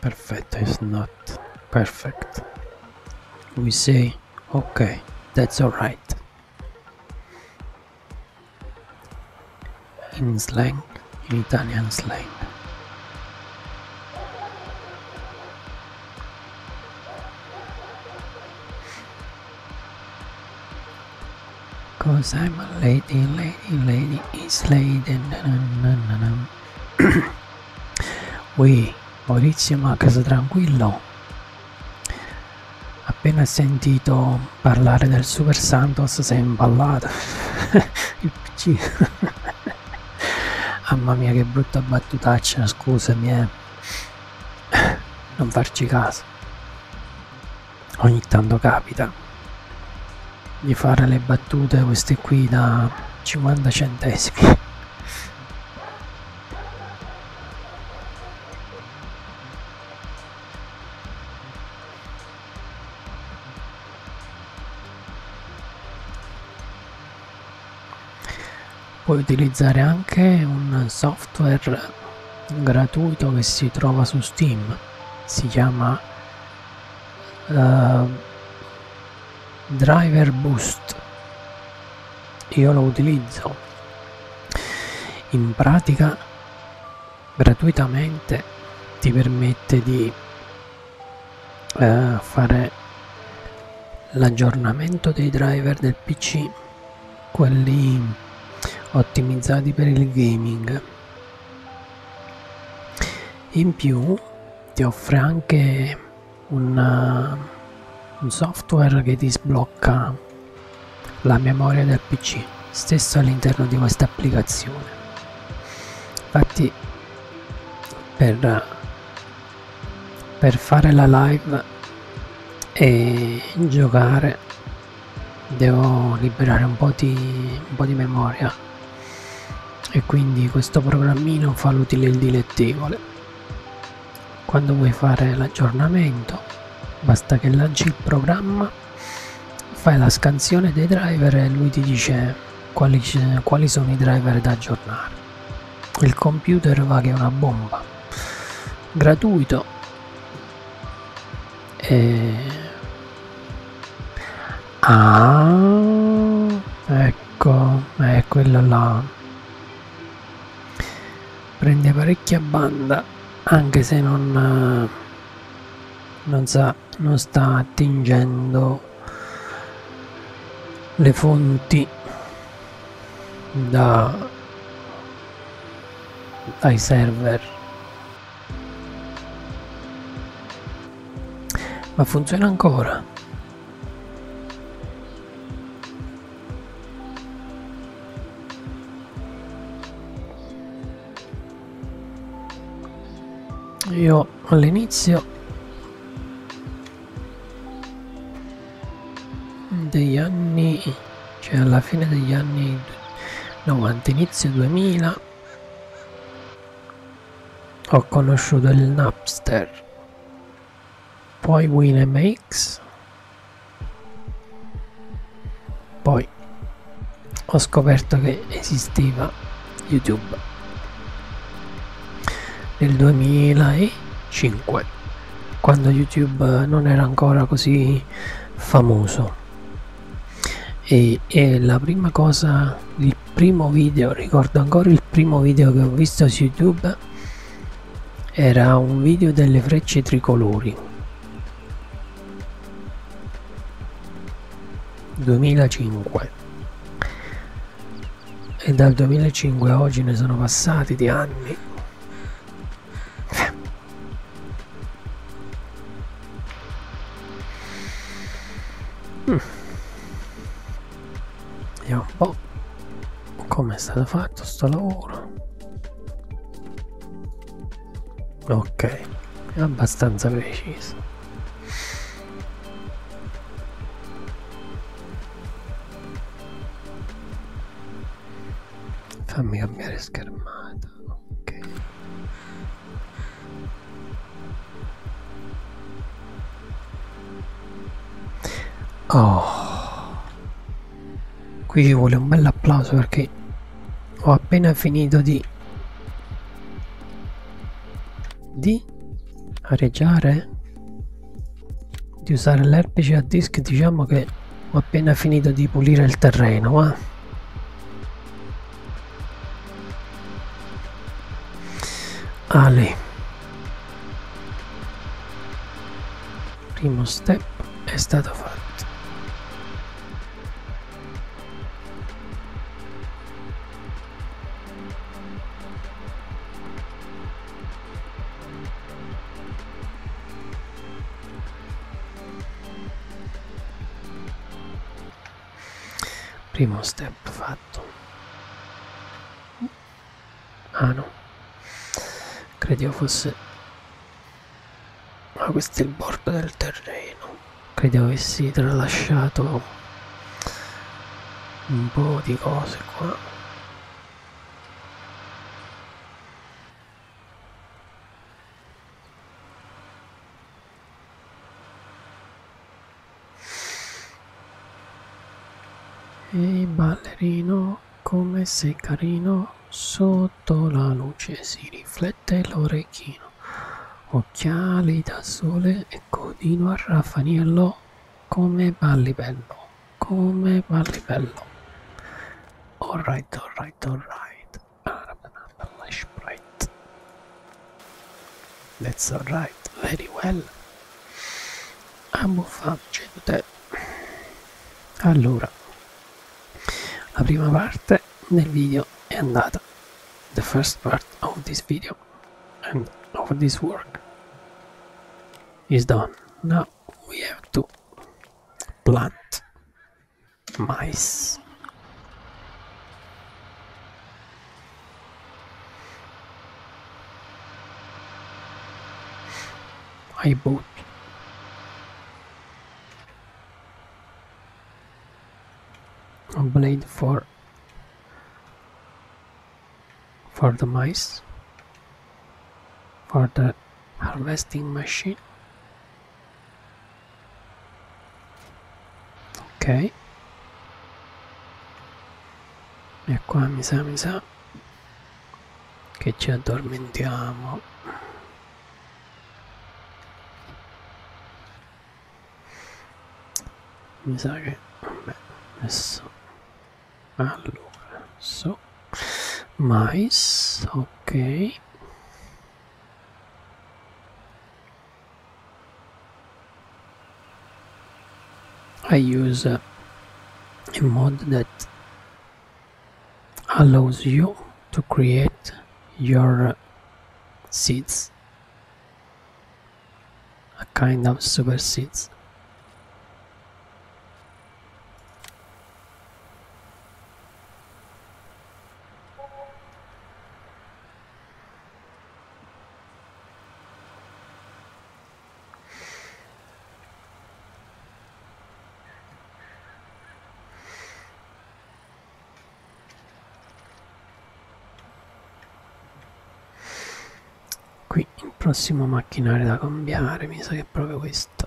Perfect is not perfect. We say, okay, that's alright. In slang, in Italian slang. Cause I'm a lady, lady, lady is lady. Ui, Maurizio Macas tranquillo. Appena sentito parlare del Super Santos sei imballato. Il PC. Mamma mia che brutta battutaccia, scusami eh. Non farci caso ogni tanto capita di fare le battute queste qui da 50 centesimi puoi utilizzare anche un software gratuito che si trova su Steam si chiama uh, driver boost io lo utilizzo in pratica gratuitamente ti permette di uh, fare l'aggiornamento dei driver del pc quelli ottimizzati per il gaming in più ti offre anche un, uh, un software che ti sblocca la memoria del pc stesso all'interno di questa applicazione infatti per, per fare la live e giocare devo liberare un po' di, un po di memoria e quindi questo programmino fa l'utile e il dilettevole quando vuoi fare l'aggiornamento basta che lanci il programma fai la scansione dei driver e lui ti dice quali, quali sono i driver da aggiornare il computer va che è una bomba gratuito e... Eh, ah ecco è eh, quella là prende parecchia banda anche se non non, sa, non sta attingendo le fonti da, dai server ma funziona ancora. Io all'inizio degli anni, cioè alla fine degli anni 90, inizio 2000, ho conosciuto il Napster, poi WinMX, poi ho scoperto che esisteva YouTube nel 2005 quando YouTube non era ancora così famoso e, e la prima cosa il primo video ricordo ancora il primo video che ho visto su youtube era un video delle frecce tricolori 2005 e dal 2005 a oggi ne sono passati di anni Mm. Vediamo un oh, po' come è stato fatto sto lavoro. Ok, è abbastanza preciso. Fammi cambiare schermata. Ok. Oh. Qui ci vuole un bel applauso perché ho appena finito di di areggiare di usare l'erpice a disc diciamo che ho appena finito di pulire il terreno ma eh? Ale primo step è stato fatto primo step fatto ah no credevo fosse ma ah, questo è il bordo del terreno credevo avessi tralasciato un po' di cose qua e ballerino, come sei carino, sotto la luce si riflette l'orecchino. Occhiali da sole e codino a raffaniello, come balli bello, come balli bello. Alright, alright, alright. That's alright, very well. Abbiamo gente. Allora, la prima parte The first part of this video and of this work is done. Now we have to plant Mice. I boat. A blade for for the mice for the harvesting machine ok e qua mi sa mi sa che ci addormentiamo mi sa che vabbè adesso allora so mais ok I use a, mod that allows you to create your uh, seeds a kind of super seeds Qui il prossimo macchinario da cambiare mi sa che è proprio questo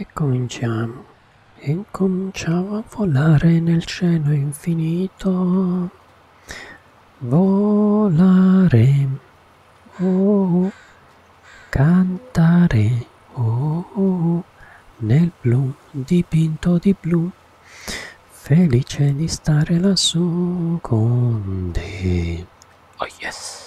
e cominciamo. E cominciamo a volare nel cielo infinito. Volare. Oh, oh. Cantare. Oh, oh, nel blu, dipinto di blu. Felice di stare lassù con te. Oh yes.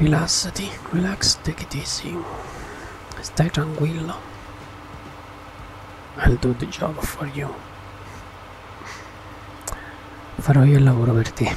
Rilassati, relax, take it easy. Stai tranquillo. I'll do the job for you. Farò io il lavoro per te.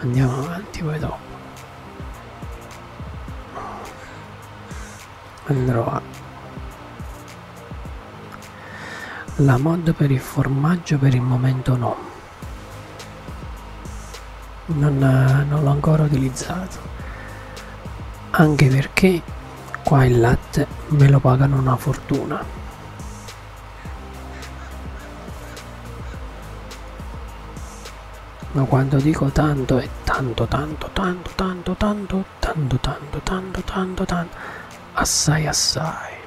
andiamo avanti poi dopo andrò a la mod per il formaggio per il momento no non, non l'ho ancora utilizzato anche perché qua il latte me lo pagano una fortuna ma quando dico tanto è tanto tanto tanto tanto tanto tanto tanto tanto tanto tanto assai assai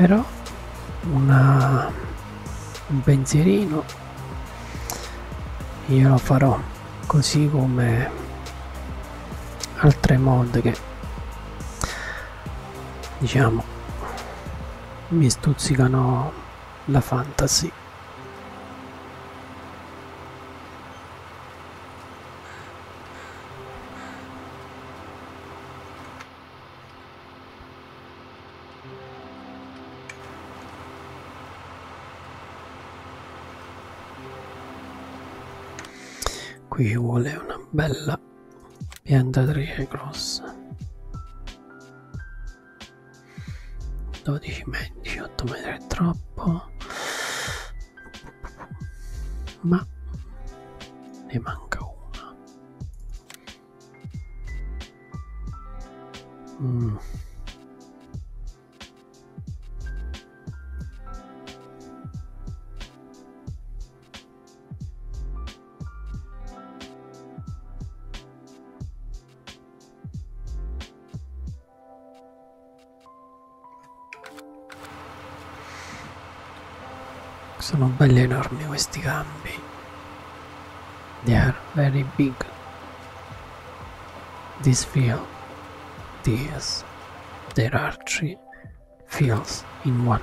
però una, un pensierino Esatto. io lo farò così come altre mod che diciamo mi stuzzicano la fantasy Qui ci vuole una bella piantatrice grossa. 12 metri, 18 metri è troppo. Ma ne manca una. Mm. Sono belli enormi questi campi. They are very big. This field, this, there are three fields in one.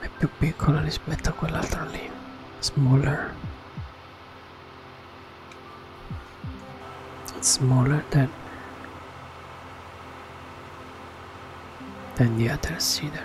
È più piccola rispetto a quell'altra lì, smaller. It's smaller than than the other cedar.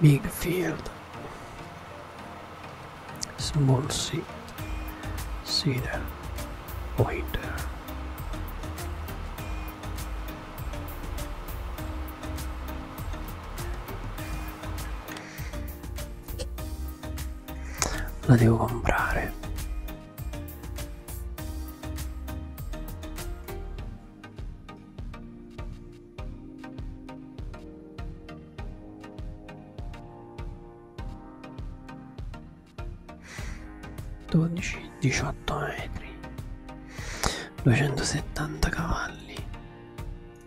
Big field, small seed, the water. la devo comprare dodici diciotto metri duecentosettanta cavalli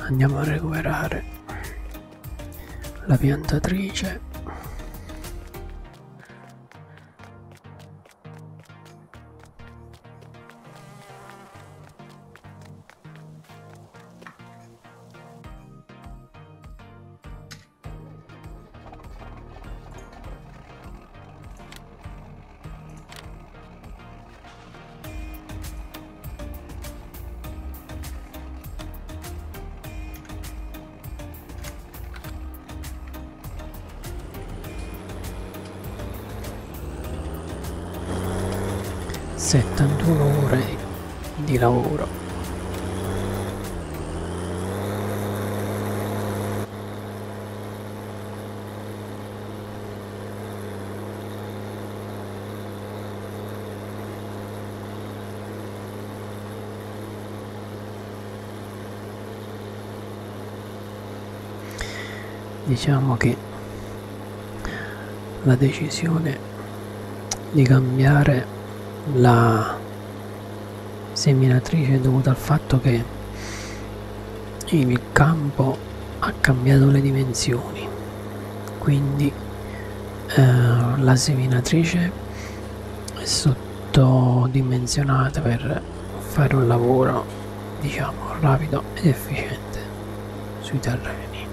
andiamo a recuperare la piantatrice 71 ore di lavoro diciamo che la decisione di cambiare la seminatrice è dovuta al fatto che il il campo ha cambiato le dimensioni quindi eh, la seminatrice è sottodimensionata per fare un lavoro diciamo rapido ed efficiente sui terreni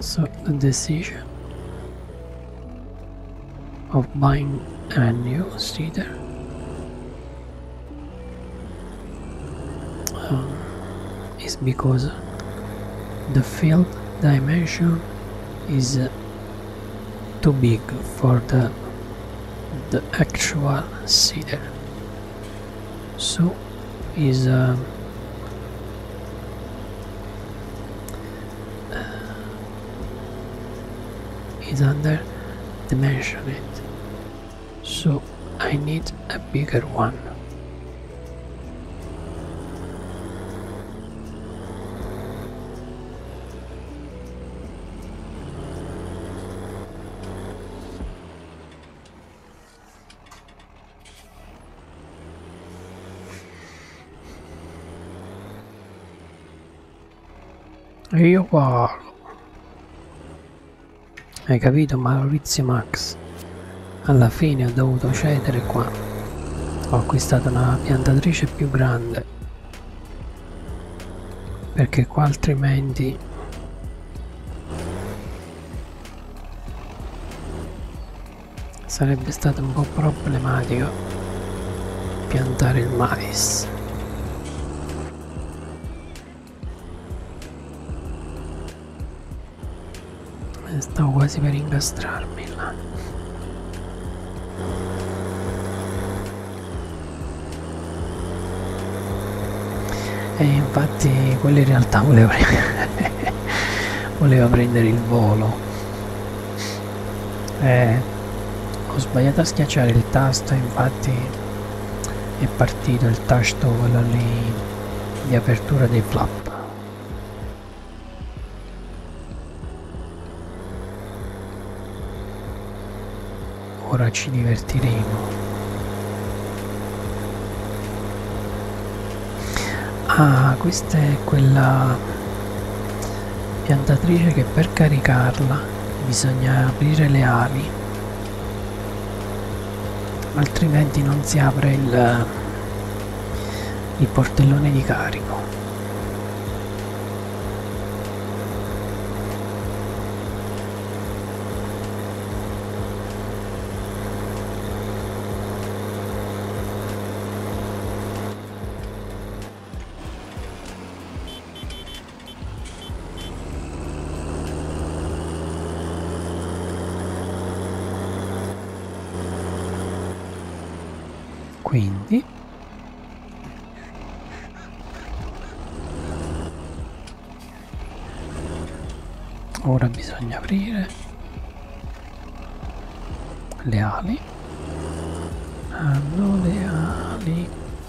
so the decision of buying a new cedar uh, is because the field dimension is uh, too big for the the actual cedar so is uh, uh is under dimensioned so I need a bigger one. Io parlo. Hai capito Maurizio Max? Alla fine ho dovuto cedere qua. Ho acquistato una piantatrice più grande. Perché qua altrimenti... Sarebbe stato un po' problematico piantare il mais. Stavo quasi per incastrarmi là. E infatti quello in realtà voleva, voleva prendere il volo. Eh, ho sbagliato a schiacciare il tasto, infatti è partito il tasto quello lì di apertura dei flap ora ci divertiremo ah questa è quella piantatrice che per caricarla bisogna aprire le ali altrimenti non si apre il, il portellone di carico quindi ora bisogna aprire le ali hanno ah, le ali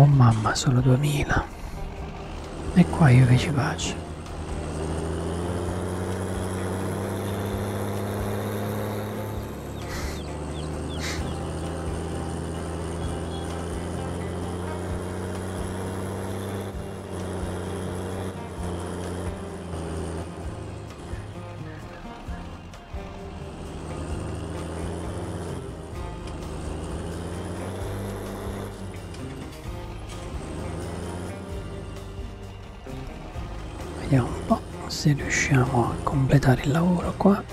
Oh mamma, solo 2000. E qua io che ci faccio? Vediamo un po' se riusciamo a completare il lavoro qua.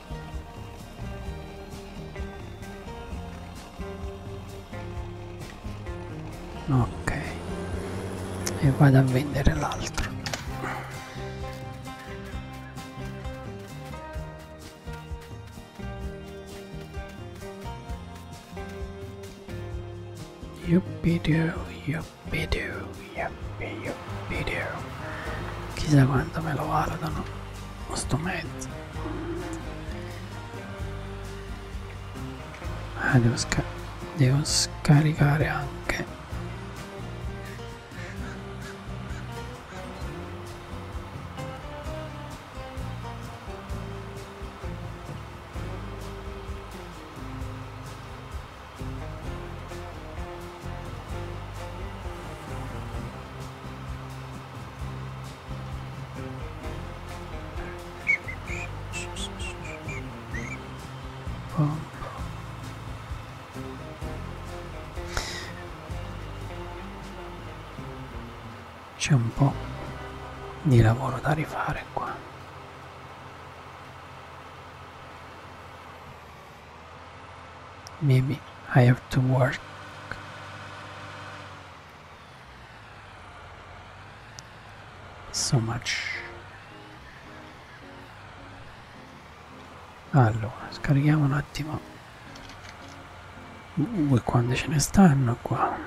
ok e vado a vendere l'altro yuppie do yuppie do via mio video chissà quanto me lo valutano sto mezzo ah devo, sca devo scaricare anche c'è un po' di lavoro da rifare qua. Maybe I have to work. So much. Allora, scarichiamo un attimo uh, quante ce ne stanno qua.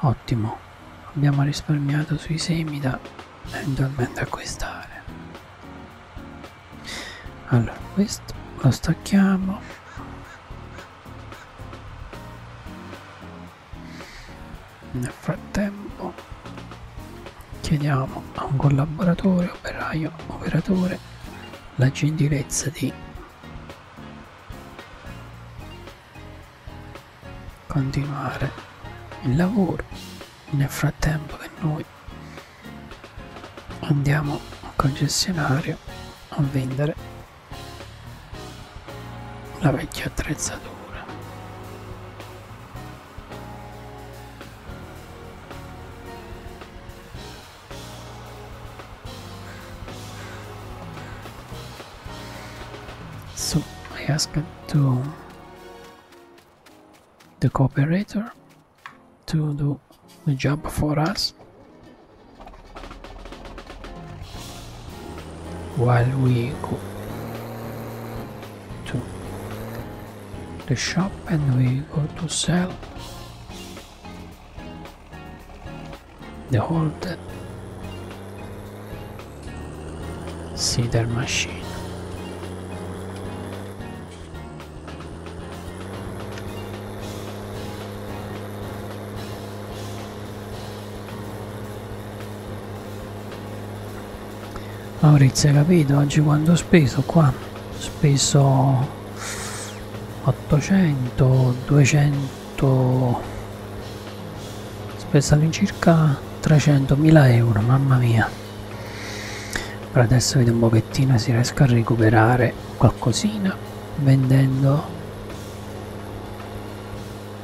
Ottimo, abbiamo risparmiato sui semi da eventualmente acquistare allora questo lo stacchiamo nel frattempo chiediamo a un collaboratore operaio operatore la gentilezza di continuare il lavoro nel frattempo che noi andiamo al concessionario a vendere la vecchia attrezzatura So I asked to the cooperator to do the job for us while we go to the shop and we go to sell the whole Cedar Machine Maurizio hai capito oggi quando ho speso qua ho speso 800 200 speso all'incirca 300.000 euro mamma mia per adesso vedo un pochettino se riesco a recuperare qualcosina vendendo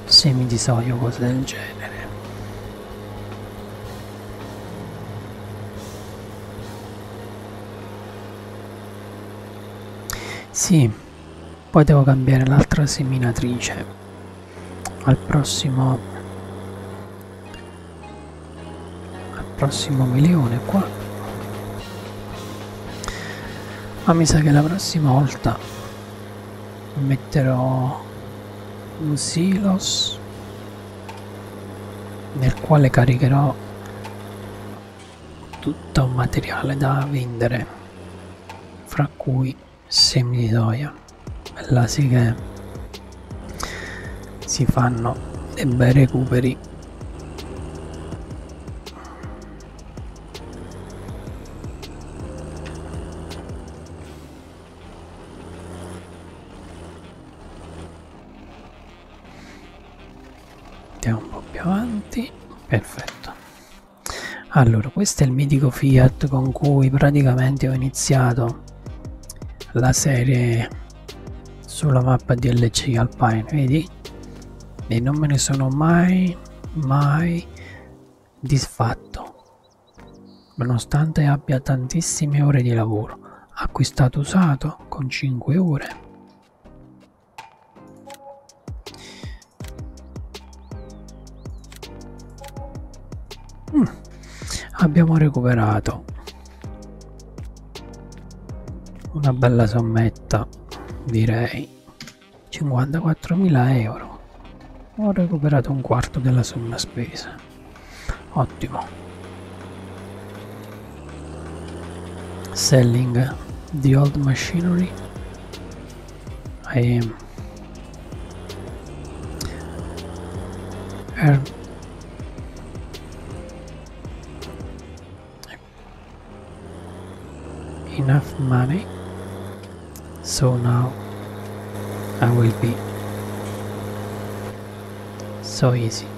semi di soia o cose del genere sì poi devo cambiare l'altra seminatrice al prossimo al prossimo milione qua ma mi sa che la prossima volta metterò un silos nel quale caricherò tutto un materiale da vendere fra cui semi di soia là sì che si fanno dei bei recuperi andiamo un po' più avanti perfetto allora questo è il mitico fiat con cui praticamente ho iniziato la serie sulla mappa DLC Alpine, vedi? E non me ne sono mai, mai disfatto, nonostante abbia tantissime ore di lavoro. Acquistato usato con 5 ore. Mm. Abbiamo recuperato una bella sommetta, direi 54.000 euro. Ho recuperato un quarto della somma spesa. Ottimo. Selling the old machinery. I ehm. And er. enough money so now I will be so easy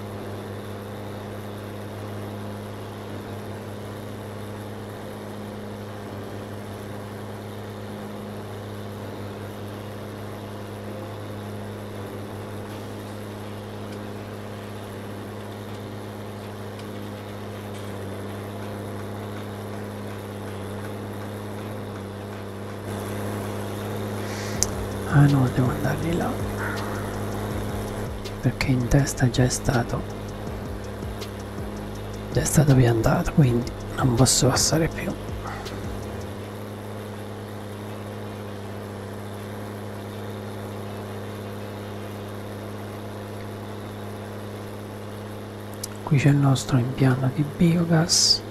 Ah no, devo andare di là. Perché in testa già è stato. Già è stato piantato, quindi non posso passare più qui c'è il nostro impianto di biogas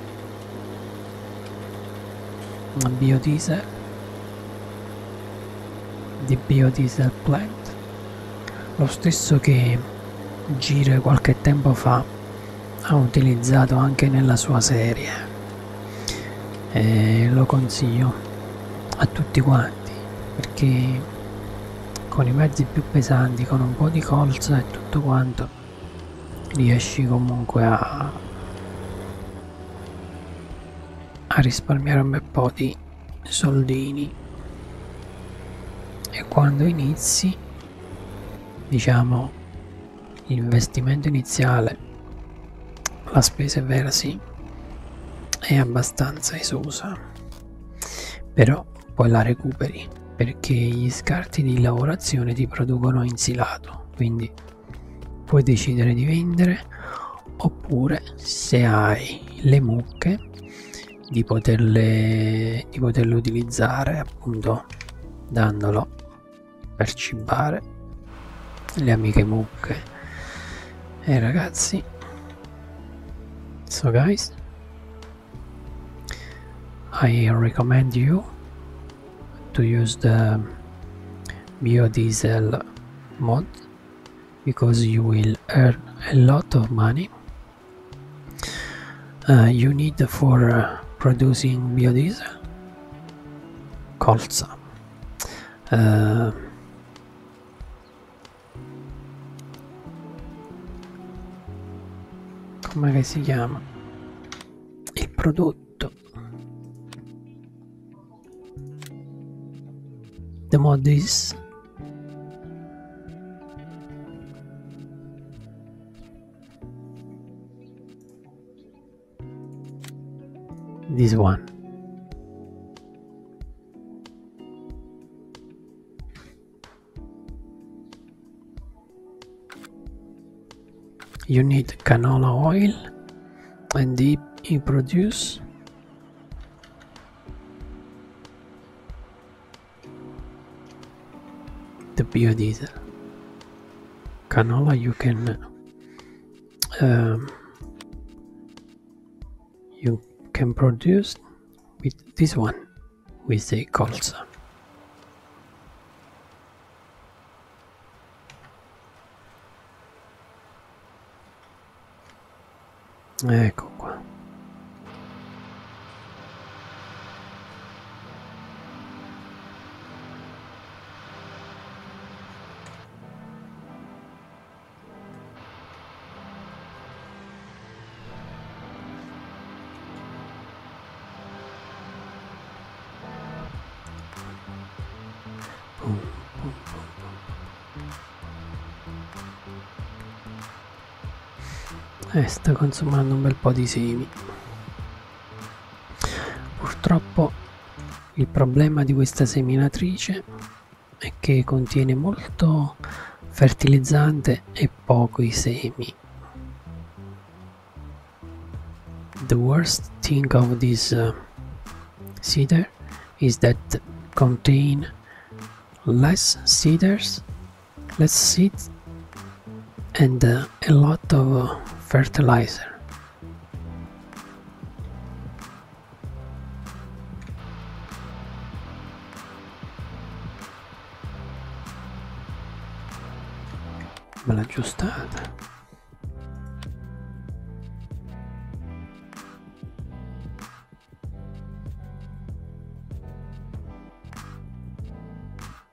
biodiesel di biodiesel plant lo stesso che gira qualche tempo fa ha utilizzato anche nella sua serie e lo consiglio a tutti quanti perché con i mezzi più pesanti con un po' di colza e tutto quanto riesci comunque a, a risparmiare un bel po' di soldini e quando inizi diciamo L'investimento iniziale, la spesa versi è abbastanza esosa, però poi la recuperi perché gli scarti di lavorazione ti producono insilato, quindi puoi decidere di vendere oppure se hai le mucche di poterle, di poterle utilizzare appunto dandolo per cibare le amiche mucche e eh, ragazzi so guys I recommend you to use the biodiesel mod because you will earn a lot of money uh, you need for uh, producing biodiesel Colza. Eh, come si chiama? Il prodotto. The mod is... this one. You need canola oil and deep in produce. The biodiesel canola you can um, you can produce with this one with the colza ecco eh, qua Eh, sta consumando un bel po' di semi. Purtroppo il problema di questa seminatrice è che contiene molto fertilizzante e pochi semi. The worst thing of this uh, cedar is that contain less cedars, less seeds and uh, a lot of uh, fertilizer. me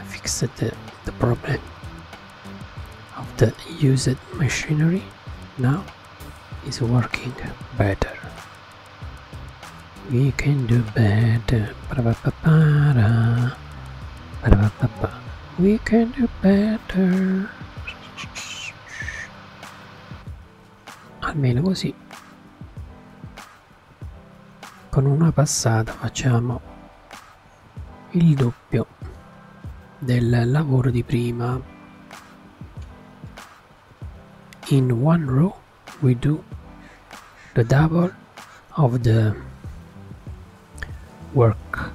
I fixed the, the problem of the used machinery now is working better we can do better we can do better almeno così con una passata facciamo il doppio doppio del lavoro di prima in one row we do the double of the work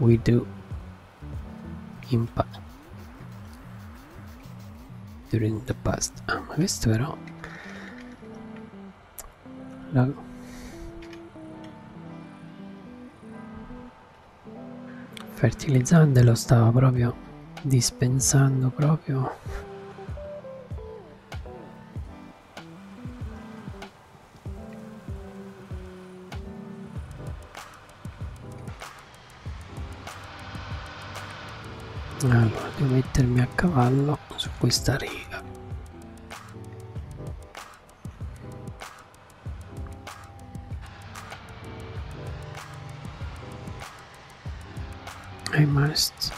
we do impact during the past ah, ma questo però la... Fertilizzante lo stava proprio dispensando proprio allora devo mettermi a cavallo su questa riga I must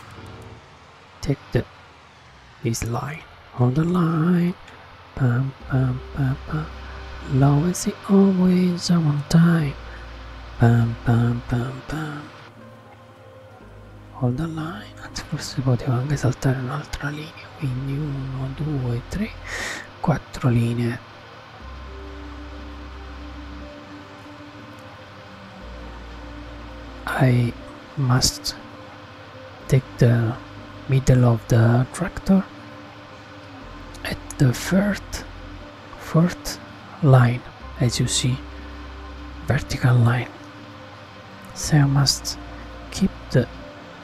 take the this line on the line bum, bum, bum, bum. low it always I want time bum, bum, bum, bum hold the line anzi forse potevo anche saltare un'altra linea quindi 1 2 I must take the middle of the tractor at the first fourth line as you see vertical line so must keep the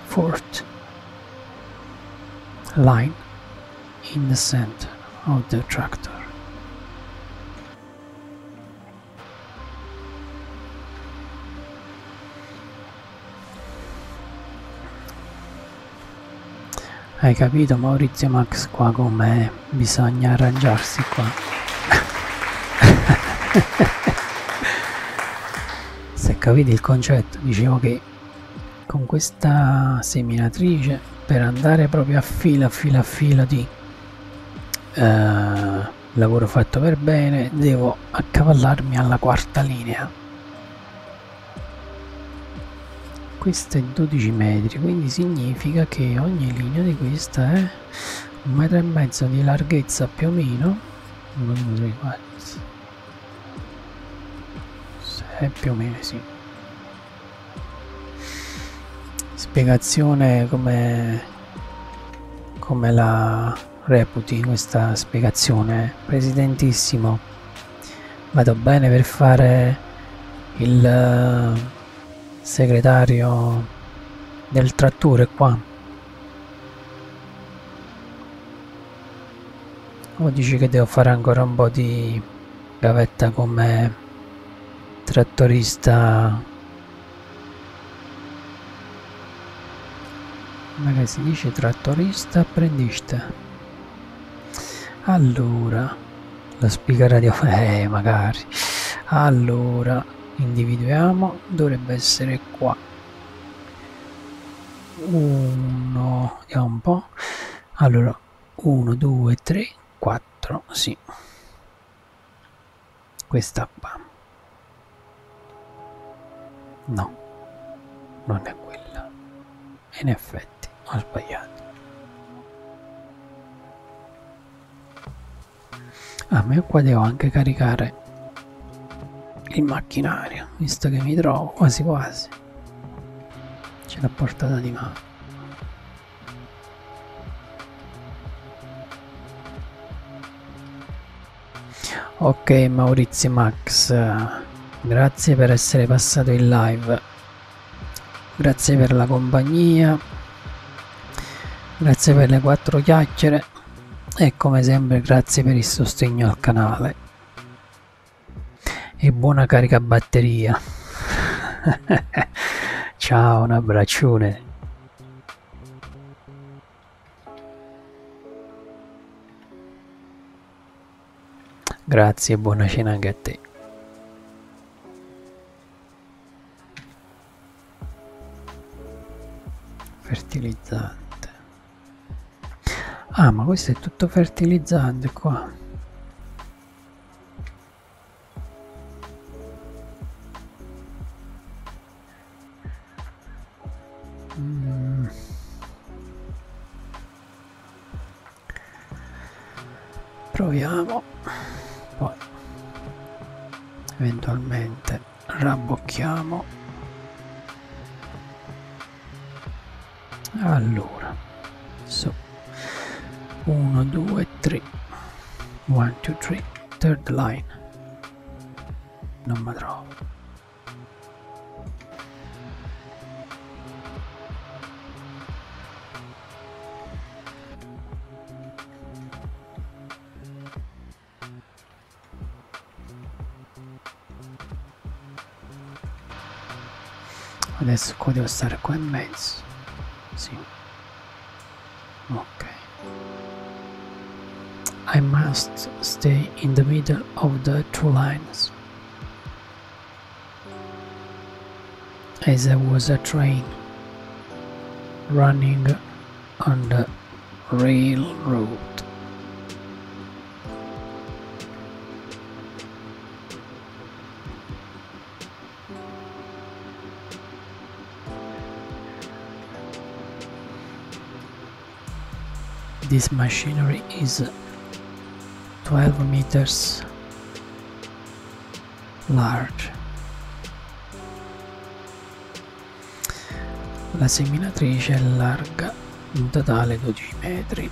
fourth line in the center of the tractor. Hai capito Maurizio Max qua com'è? Bisogna arrangiarsi qua. Se capite il concetto, dicevo che con questa seminatrice per andare proprio a fila, a fila, a fila di eh, lavoro fatto per bene, devo accavallarmi alla quarta linea. Questa è 12 metri, quindi significa che ogni linea di questa è un metro e mezzo di larghezza più o meno 1 2 3 4 6 più o meno sì spiegazione come come la reputi questa spiegazione presidentissimo vado bene per fare il segretario del trattore qua. O dici che devo fare ancora un po' di gavetta come trattorista? Ma che si dice trattorista apprendista? Allora, la spiga radio... Eh, magari. Allora, individuiamo uno dovrebbe essere qua uno vediamo un po' allora 1 2 3 4 sì questa qua no non è quella in effetti ho sbagliato a me qua devo anche caricare il macchinario visto che mi trovo quasi quasi ce l'ha portata di mano ok Maurizio Max grazie per essere passato in live grazie per la compagnia grazie per le quattro chiacchiere e come sempre grazie per il sostegno al canale e buona carica batteria ciao un abbraccione grazie e buona cena anche a te fertilizzante ah ma questo è tutto fertilizzante qua mm. proviamo poi eventualmente rabbocchiamo allora so 1 2 3 1 2 3 third line non mi trovo Adesso qua devo stare qua in mezzo. Ok. I must stay in the middle of the two lines. As there was a train running on the railroad. This machinery is 12 meters large. La seminatrice è larga in totale 12 metri.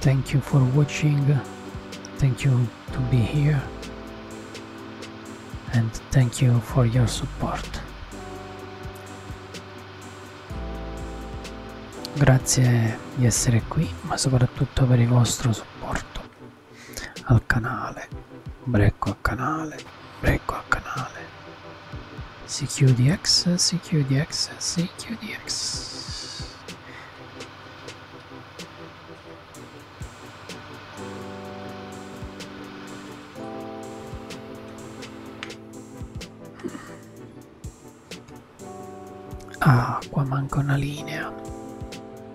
Thank you for watching, thank you to be here and thank you for your support. Grazie di essere qui ma soprattutto per il vostro supporto al canale brecco al canale brecco al canale si chiude x si chiude x si chiude x ah qua manca una linea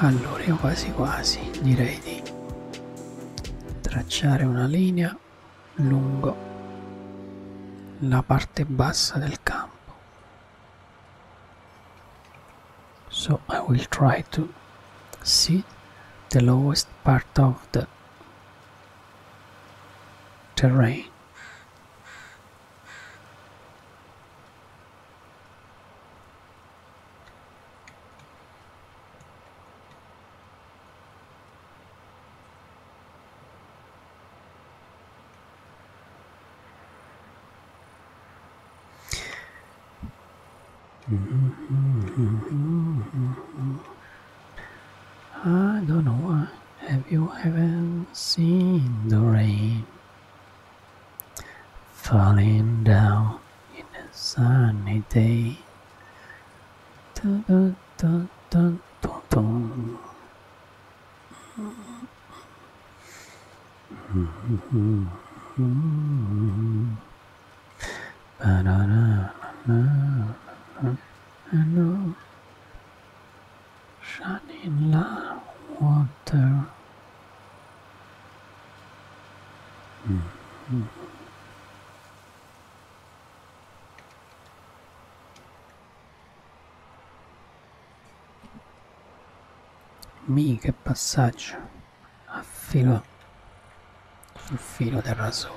Allora io quasi quasi direi di tracciare una linea lungo la parte bassa del campo. So I will try to see the lowest part of the terrain I don't know. Have you ever seen the rain? falling down in a sunny day. Dun, dun, dun, dun, dun, dun. I know Janilla water. Mm -hmm. Mi che passaggio a filo sul filo del rasoio.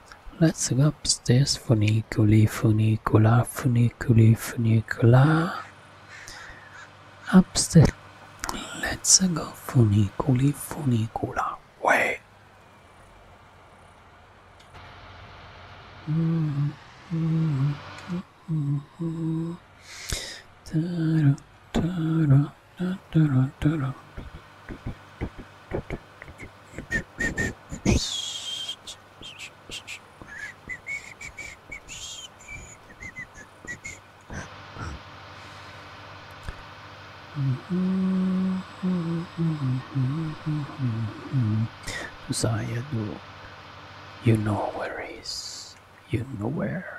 Let's go upstairs. Funiculi, funicula, funiculi, funicula. Upstairs. Let's go funiculi, funicula. Way. Zaya do you know is. you know where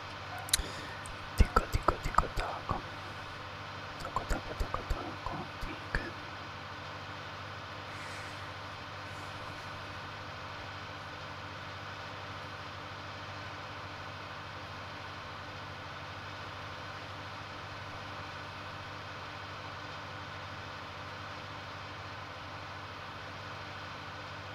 Tico tico tico taco. Taco taco taco taco. Tic.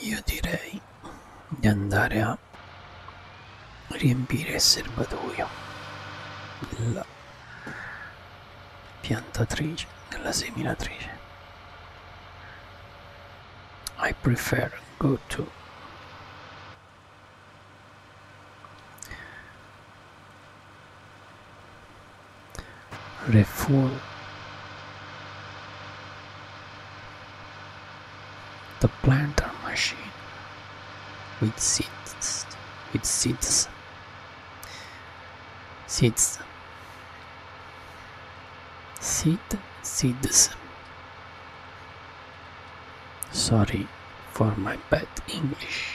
Io direi di andare a riempire il serbatoio della piantatrice, della seminatrice. I prefer go to refuel the planter machine with seeds with seeds seeds seed seeds Sorry for my bad English.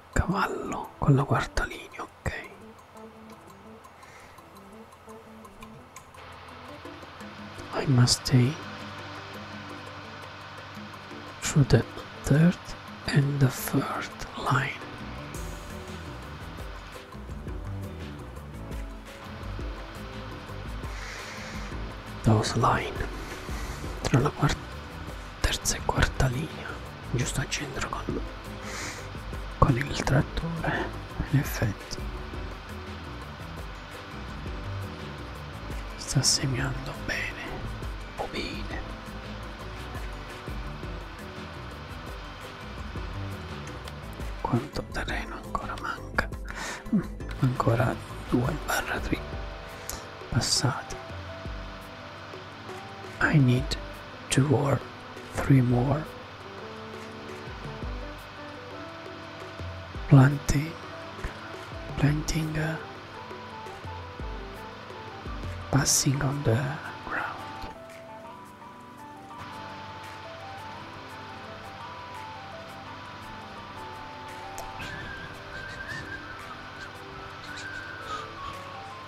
a cavallo con la quarta linea, ok. I must stay through the third and the third line. Those line tra la quarta terza e quarta linea giusto al centro con, con il trattore in effetti sta segnando bene o bene quanto terreno ancora manca mm, ancora 2 barra 3 passati I need two or three more. Planting, planting, uh, passing on the ground.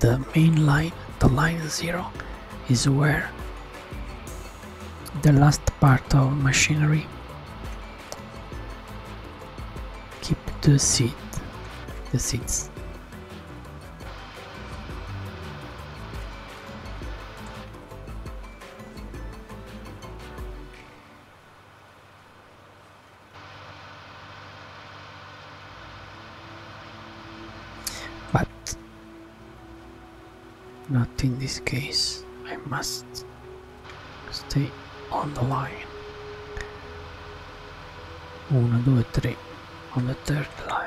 the main line, the line 0, is where the last part of machinery keep the seats, the seats. But not in this case. I must stay on the line. 1, 2, 3 on the third line.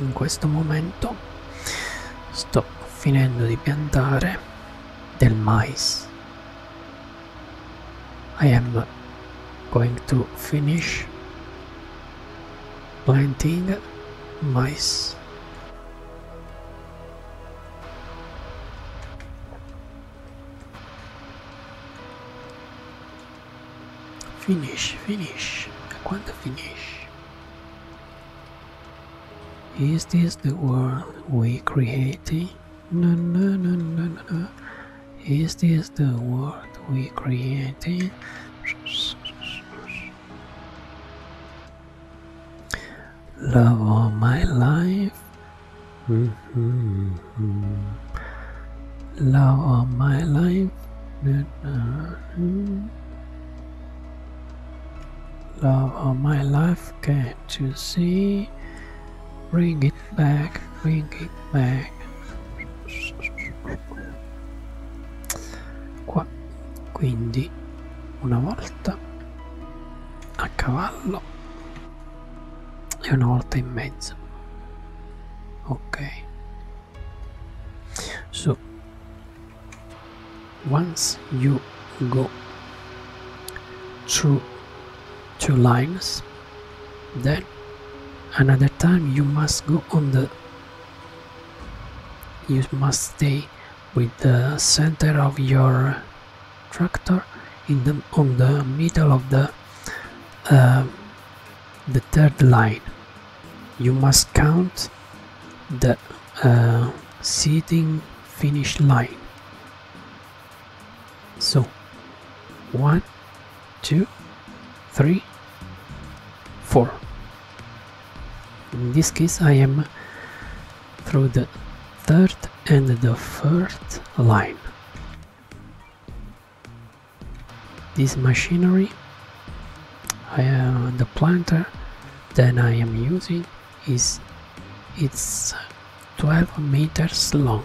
in questo momento sto finendo di piantare del mais I am going to finish planting mais Finish, finish. I want to finish. Is this the world we are creating? Is this the world we are creating? Love all my life. Mm-hmm. Mm. love of my life that love of my life get to see bring it back bring it back qua quindi una volta a cavallo e una volta in mezzo okay so once you go through two lines then another time you must go on the you must stay with the center of your tractor in the on the middle of the uh, the third line you must count the uh, seating finish line so one two three four in this case I am through the third and the fourth line this machinery uh, the planter that I am using is it's 12 meters long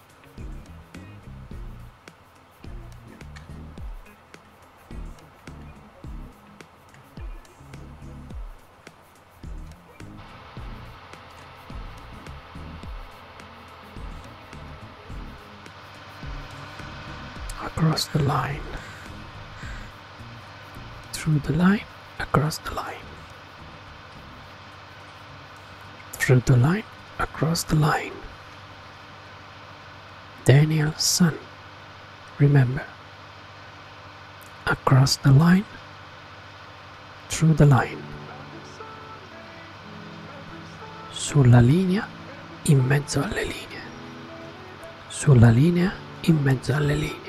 across the line through the line across the line through the line, across the line. Daniel's son, remember. Across the line, through the line. Sulla linea, in mezzo alle linee. Sulla linea, in mezzo alle linee.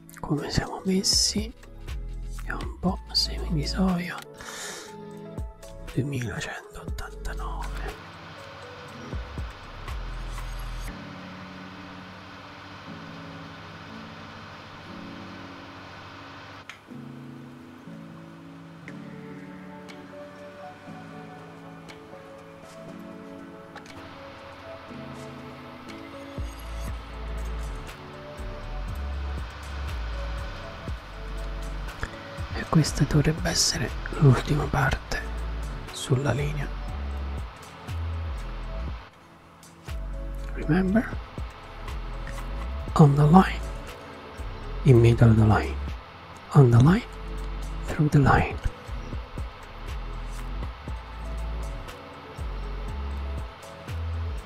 come siamo messi è un po' semi di soia 2189 Ecco e questa dovrebbe essere l'ultima parte sulla linea remember on the line in middle of the line on the line through the line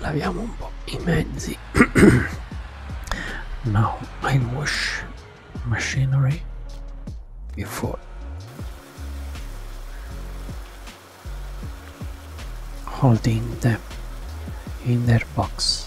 laviamo un po' i mezzi now i wash machinery before holding them in their box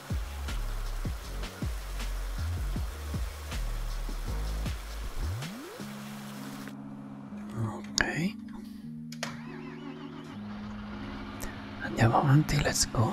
Ok. Andiamo avanti, let's go.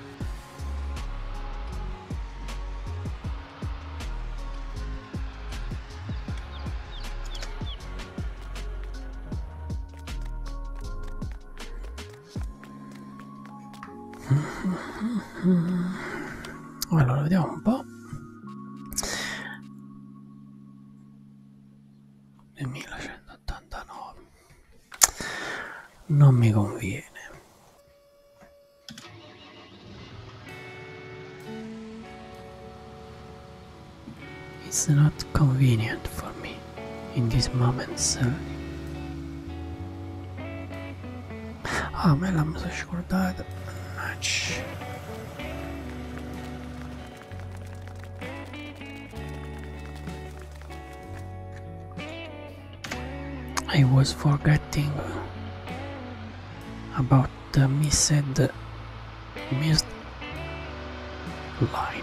Allora, vediamo un po'. 2189 non mi conviene It's not convenient for me in this moment, sir. Ah, me la mi sono scordata. Mannaggia. I was forgetting about the missed missed line.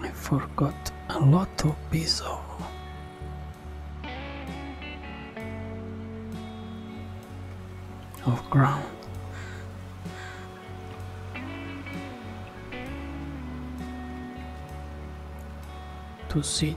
I forgot a lot of pieces Of ground. To sit.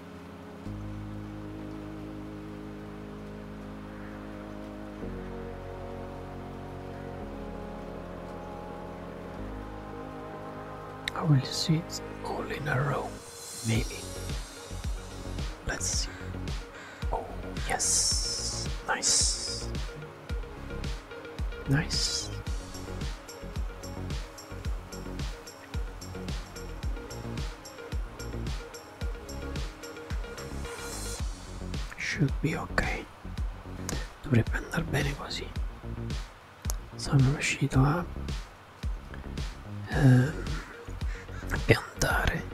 I will see it all in a row, maybe. Let's see. Oh, yes. Nice. Nice. Should be ok. Dovrebbe andare bene così. Sono riuscito a eh, piantare,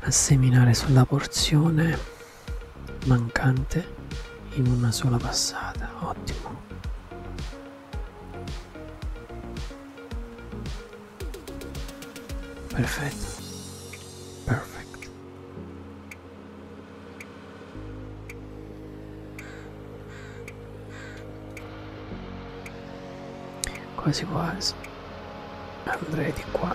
a seminare sulla porzione mancante in una sola passata. Ottimo. Perfetto. Perfect. Quasi quasi. Andrei di qua.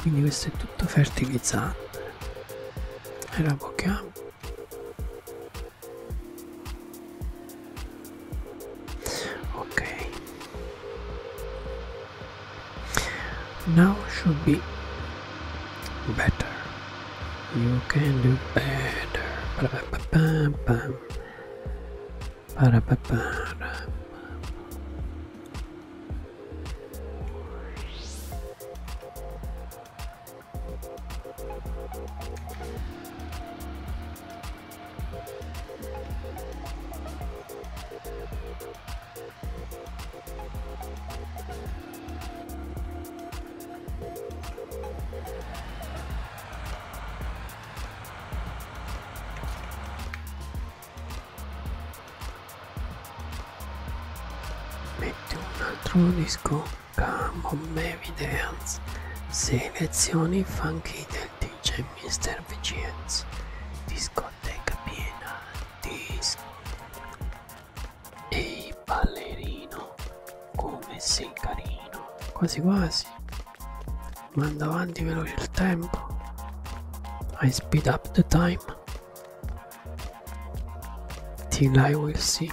quindi questo è tutto fertilizzante e la pochiamo Okay. Now should be better. You can do better. Metti un altro disco, Come on Mary Dance, selezioni funky del dice Mr. Vicienz. Discoteca piena di... Ehi ballerino, come sei carino. Quasi quasi. Manda avanti veloce il tempo. I speed up the time. Till I will see.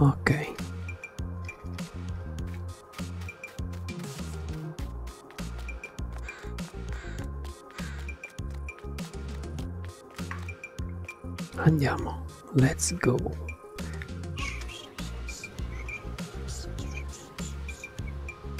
ok andiamo let's go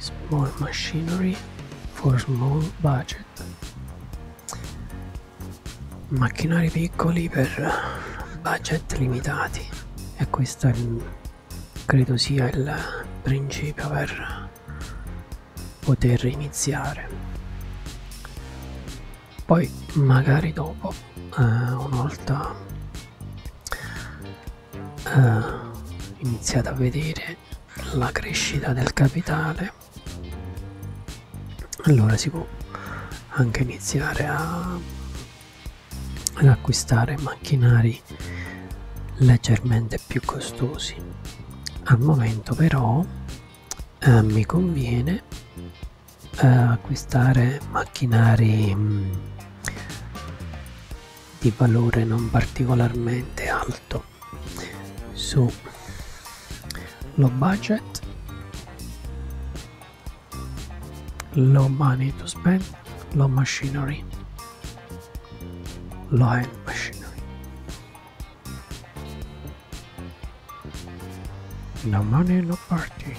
Small machinery for small budget. macchinari piccoli per budget limitati e questo è, credo sia il principio per poter iniziare poi magari dopo eh, una volta eh, iniziate a vedere la crescita del capitale bene allora si può anche iniziare a, ad acquistare macchinari leggermente più costosi al momento però eh, mi conviene eh, acquistare macchinari mh, mm, di valore non particolarmente alto su low budget, low money to spend, low machinery, low machinery, no money, no party.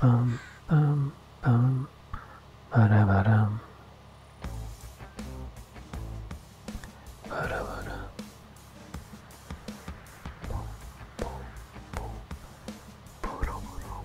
Boom! Boom! Boom! Ba da ba da! Ba da ba da! Boom, boom, boom. Boom, boom, boom.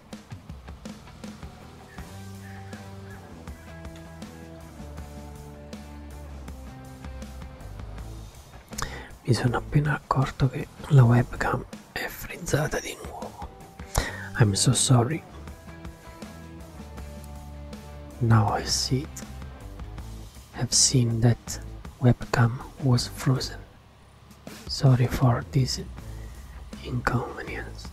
Mi sono appena accorto che la webcam è frizzata di I'm so sorry. Now I see it. Have seen that webcam was frozen. Sorry for this inconvenience.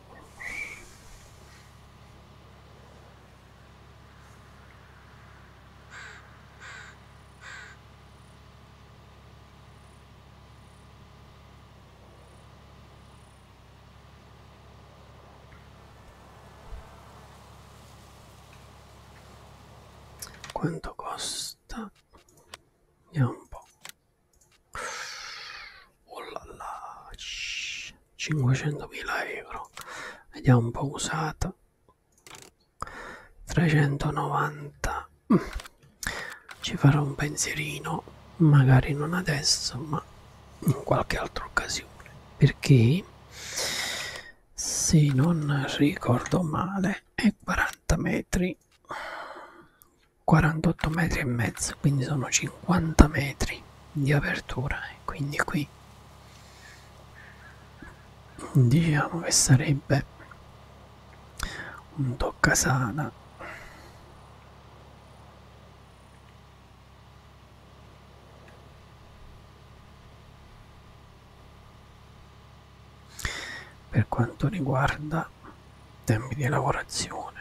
Quanto costa? Vediamo un po'. Oh là là, 500.000 euro. Vediamo un po' usata. 390. Mm. Ci farò un pensierino, magari non adesso, ma in qualche altra occasione. Perché se non ricordo male è 40 metri 48 metri e mezzo quindi sono 50 metri di apertura e quindi qui diciamo che sarebbe un toccasana per quanto riguarda tempi di lavorazione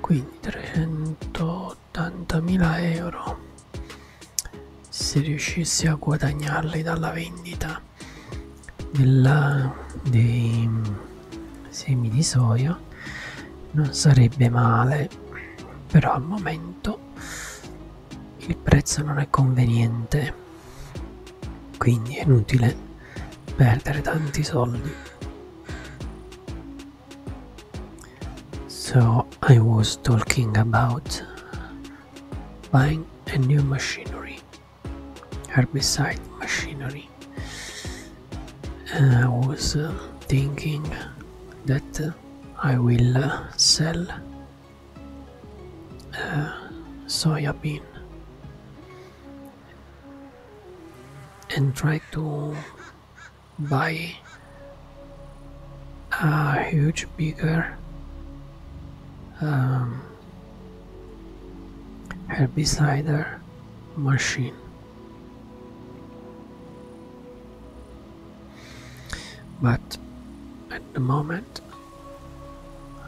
quindi 380.000 euro se riuscissi a guadagnarli dalla vendita della, dei semi di soia non sarebbe male però al momento il prezzo non è conveniente quindi è inutile Better than this soldi. So I was talking about buying a new machinery, herbicide machinery. I was uh, thinking that uh, I will uh, sell soybean and try to buy a huge bigger um, machine but at the moment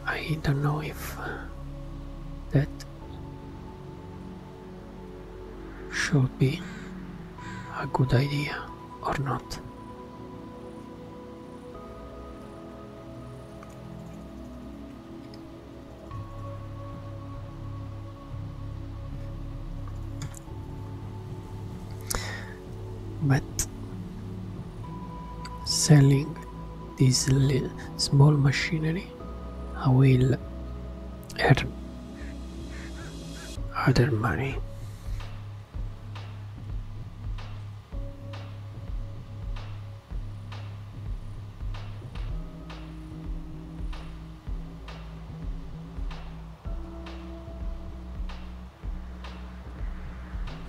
I don't know if that should be a good idea or not. But selling this little small machinery I will add other money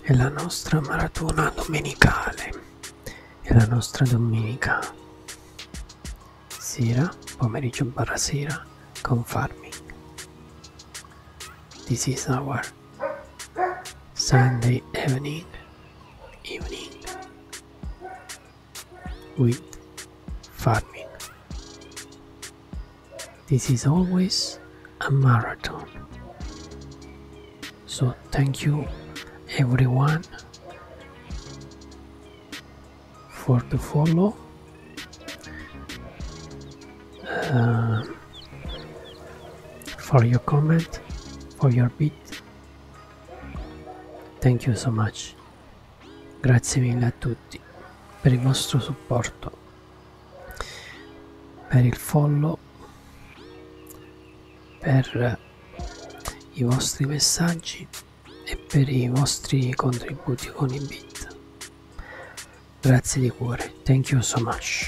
è la nostra maratona domenicale è la nostra domenica sera pomeriggio barra sera confirming. This is our Sunday evening, evening with farming. This is always a marathon. So thank you everyone for the follow uh, for your comment for your beat thank you so much grazie mille a tutti per il vostro supporto per il follow per i vostri messaggi e per i vostri contributi con i bit Grazie di cuore. Thank you so much.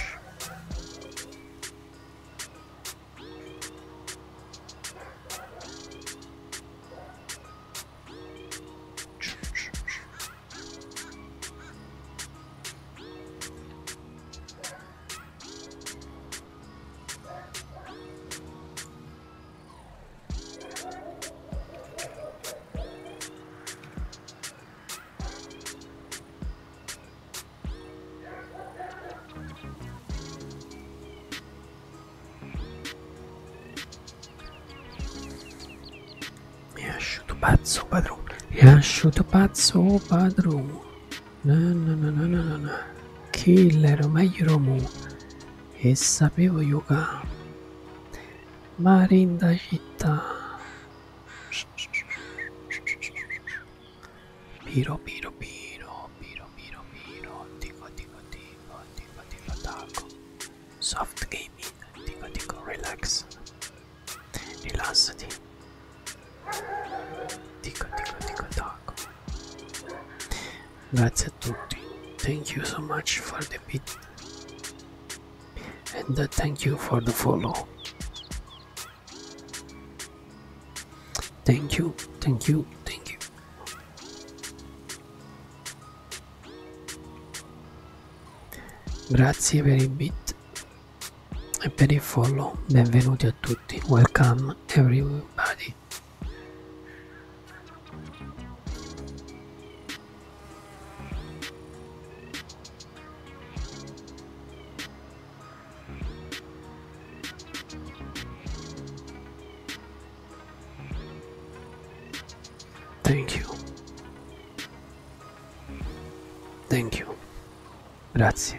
E asciutto pazzo padrone, e asciutto pazzo padrone. No, no, no, no, no, no. Killer, meglio Romu. E sapevo giocare. Marindahita. Piro, piro, piro, piro, piro, piro. Tico, tico, tico, tico, tico, taco. Soft gaming. Tico, tico, relax. Rilassati. Tico, tico, tico, taco. Grazie a tutti. Thank you so much for the bit. and uh, thank you for the follow thank you thank you thank you grazie per i bit e per il follow benvenuti a tutti welcome everybody Thank you. Thank you. Grazie.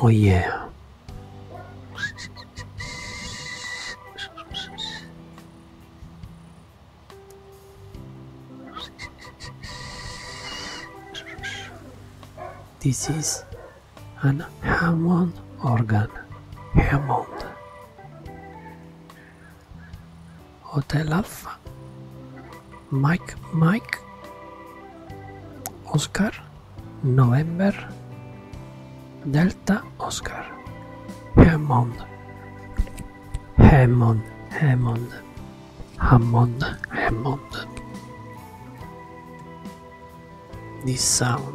Oh yeah. This is an Hammond organ. Hammond. Hotel Alfa, Mike Mike, Oscar, November, Delta Oscar, Hammond, Hammond, Hammond, Hammond, Hammond. This sound.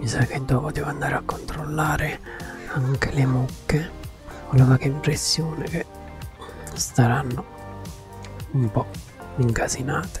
Mi sa che dopo devo andare a controllare anche le mucche. Ho la vaga impressione che staranno un po' incasinate.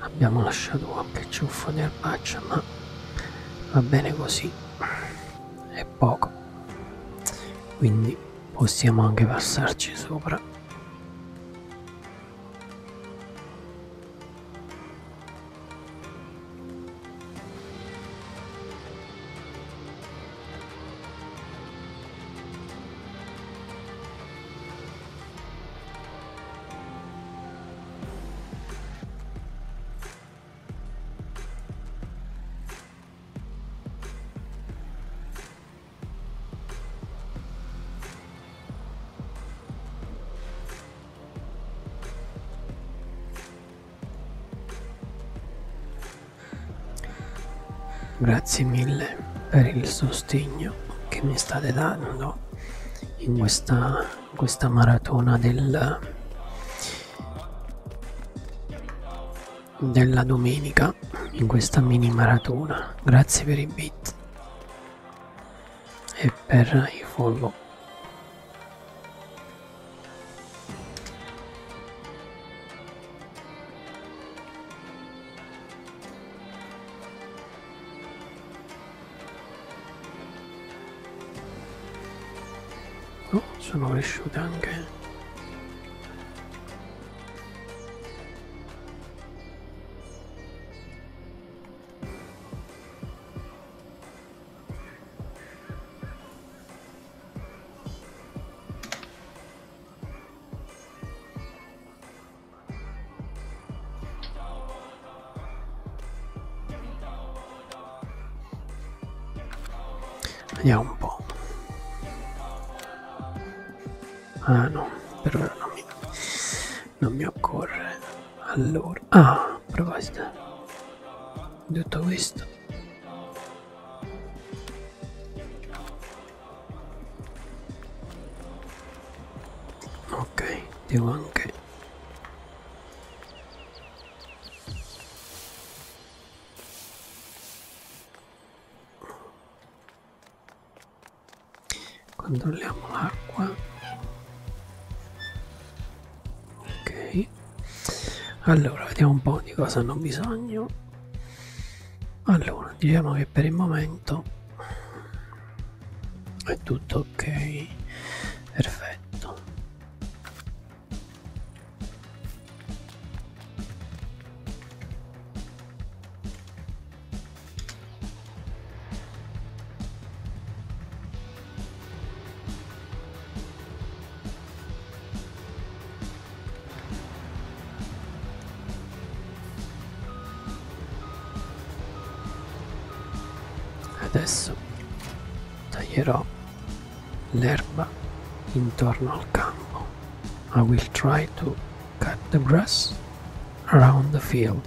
Abbiamo lasciato qualche ciuffo di erbaccia, ma va bene così, è poco, quindi possiamo anche passarci sopra. Grazie mille per il sostegno che mi state dando in questa, in questa maratona del, della domenica, in questa mini maratona. Grazie per i bit e per i follow. Oh, sono cresciute anche. Vediamo un po'. Ah no, per ora non mi, non mi occorre. Allora, ah, a proposito, tutto questo ok devo anche controlliamo l'acqua ok allora vediamo un po' di cosa hanno bisogno allora diciamo che per il momento è tutto ok perfetto Adesso taglierò l'erba intorno al campo. I will try to cut the grass around the field.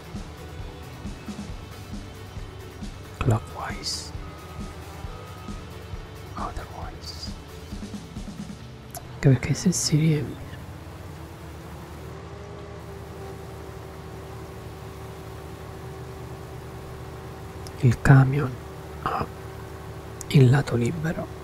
clockwise otherwise anche perché se si riempie il camion ha il lato libero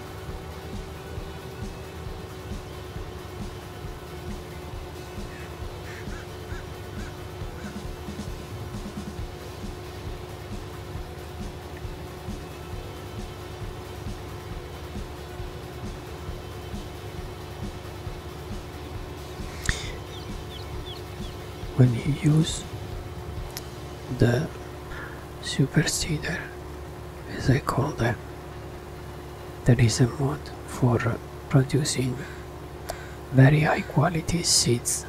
when he use the superseder as I call them there is a mod for producing very high quality seeds.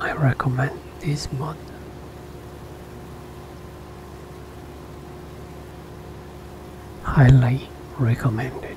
I recommend this mod. Highly recommended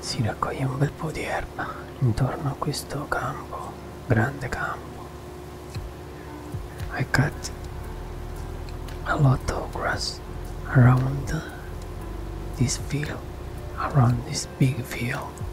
si raccoglie un bel po' di erba intorno a questo campo, grande campo. I cut a lot of grass around this field, around this big field.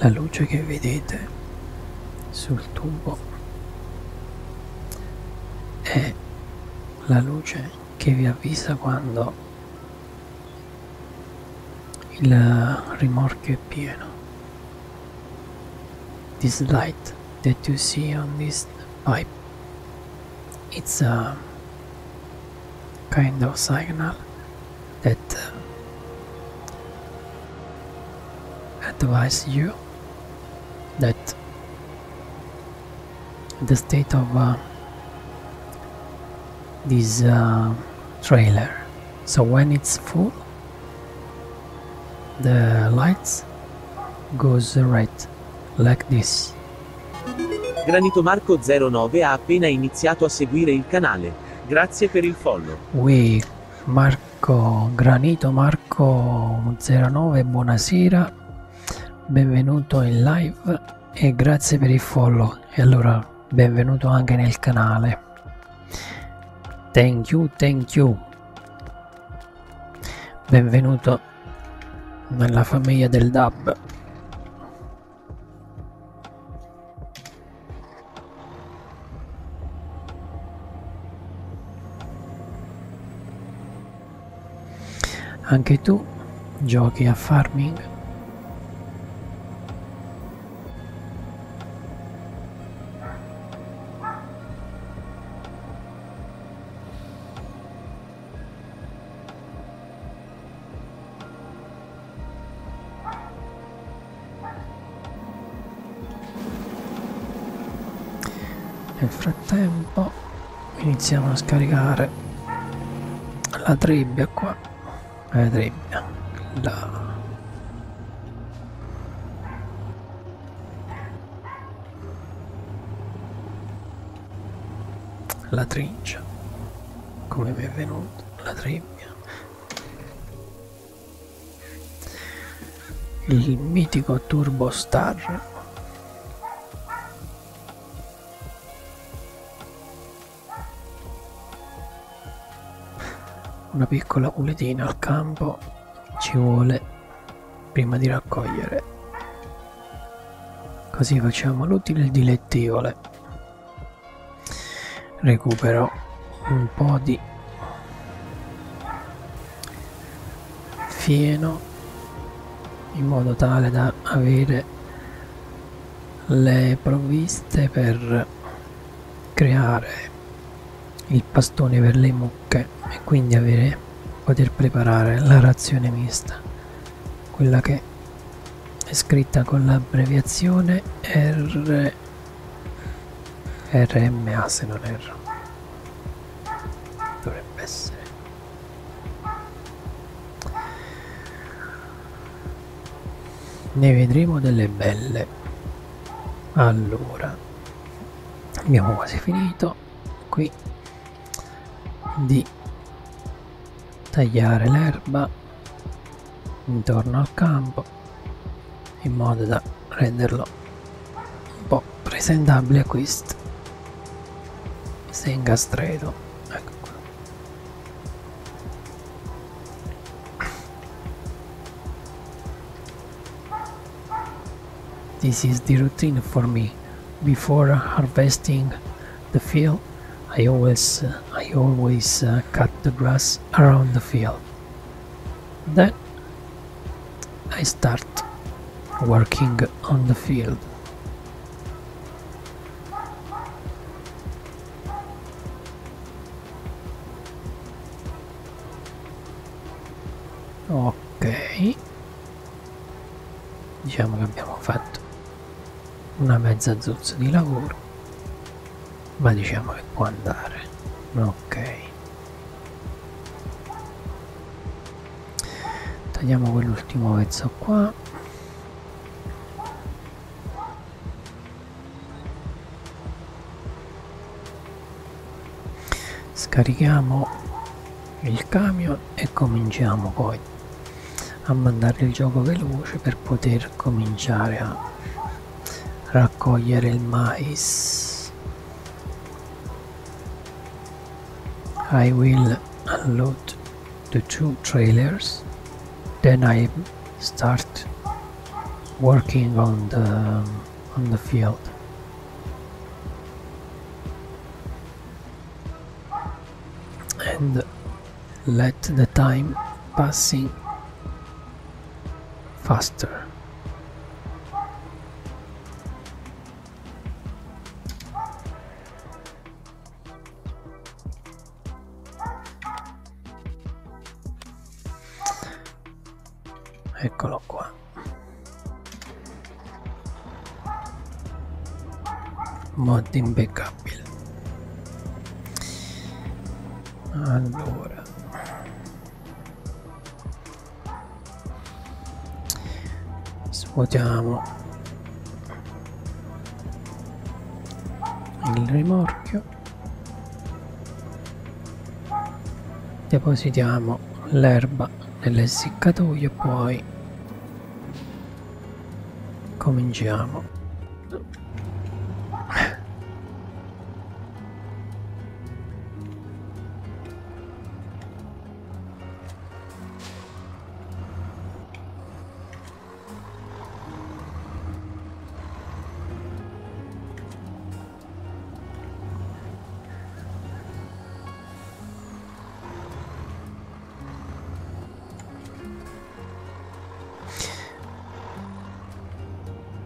La luce che vedete sul tubo è la luce che vi avvisa quando il remorque piano. This light that you see on this pipe, it's a kind of signal that uh, advises you that the state of uh, this uh, trailer so when it's full the lights goes red like this Granito Marco 09 ha appena iniziato a seguire il canale grazie per il follow we Marco Granito Marco 09 buonasera benvenuto in live e grazie per il follow e allora benvenuto anche nel canale thank you thank you benvenuto nella famiglia del dub anche tu giochi a farming nel frattempo iniziamo a scaricare la trebbia qua vedremo la la trincia come mi è venuto la trebbia il mitico turbo star una piccola puletina al campo ci vuole prima di raccogliere. Così facciamo l'utile e il dilettevole. Recupero un po' di fieno in modo tale da avere le provviste per creare il pastone per le mucche e quindi avere, poter preparare la razione mista quella che è scritta con l'abbreviazione R RMA se non erro dovrebbe essere ne vedremo delle belle allora abbiamo quasi finito qui di tagliare l'erba intorno al campo in modo da renderlo un po' presentabile a questo se incastreto ecco qua This is the routine for me. Before harvesting the field, I always, uh, I always uh, cut the grass around the field. Then I start working on the field. ok diciamo che abbiamo fatto una mezza zozza di lavoro ma diciamo che può andare ok tagliamo quell'ultimo pezzo qua scarichiamo il camion e cominciamo poi a mandare il gioco veloce per poter cominciare a raccogliere il mais I will unload the two trailers then I start working on the on the field and let the time passing faster eccolo qua mod imbeccabile allora svuotiamo il rimorchio depositiamo l'erba nell'essiccatoio e poi cominciamo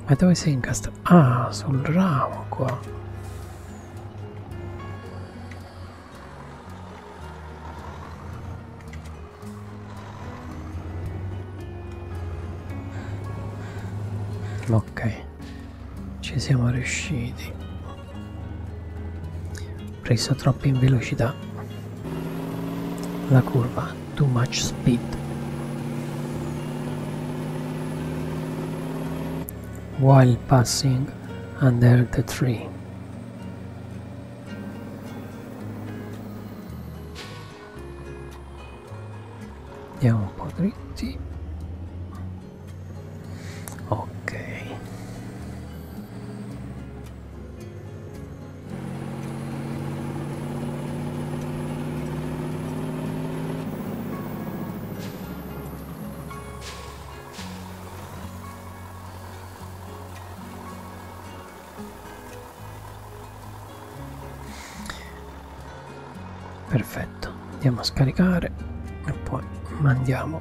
ma dove sei incastrato? Ah, sul ramo qua ok ci siamo riusciti preso troppo in velocità la curva too much speed while passing under the tree andiamo un po' dritti ok perfetto andiamo a scaricare e poi mandiamo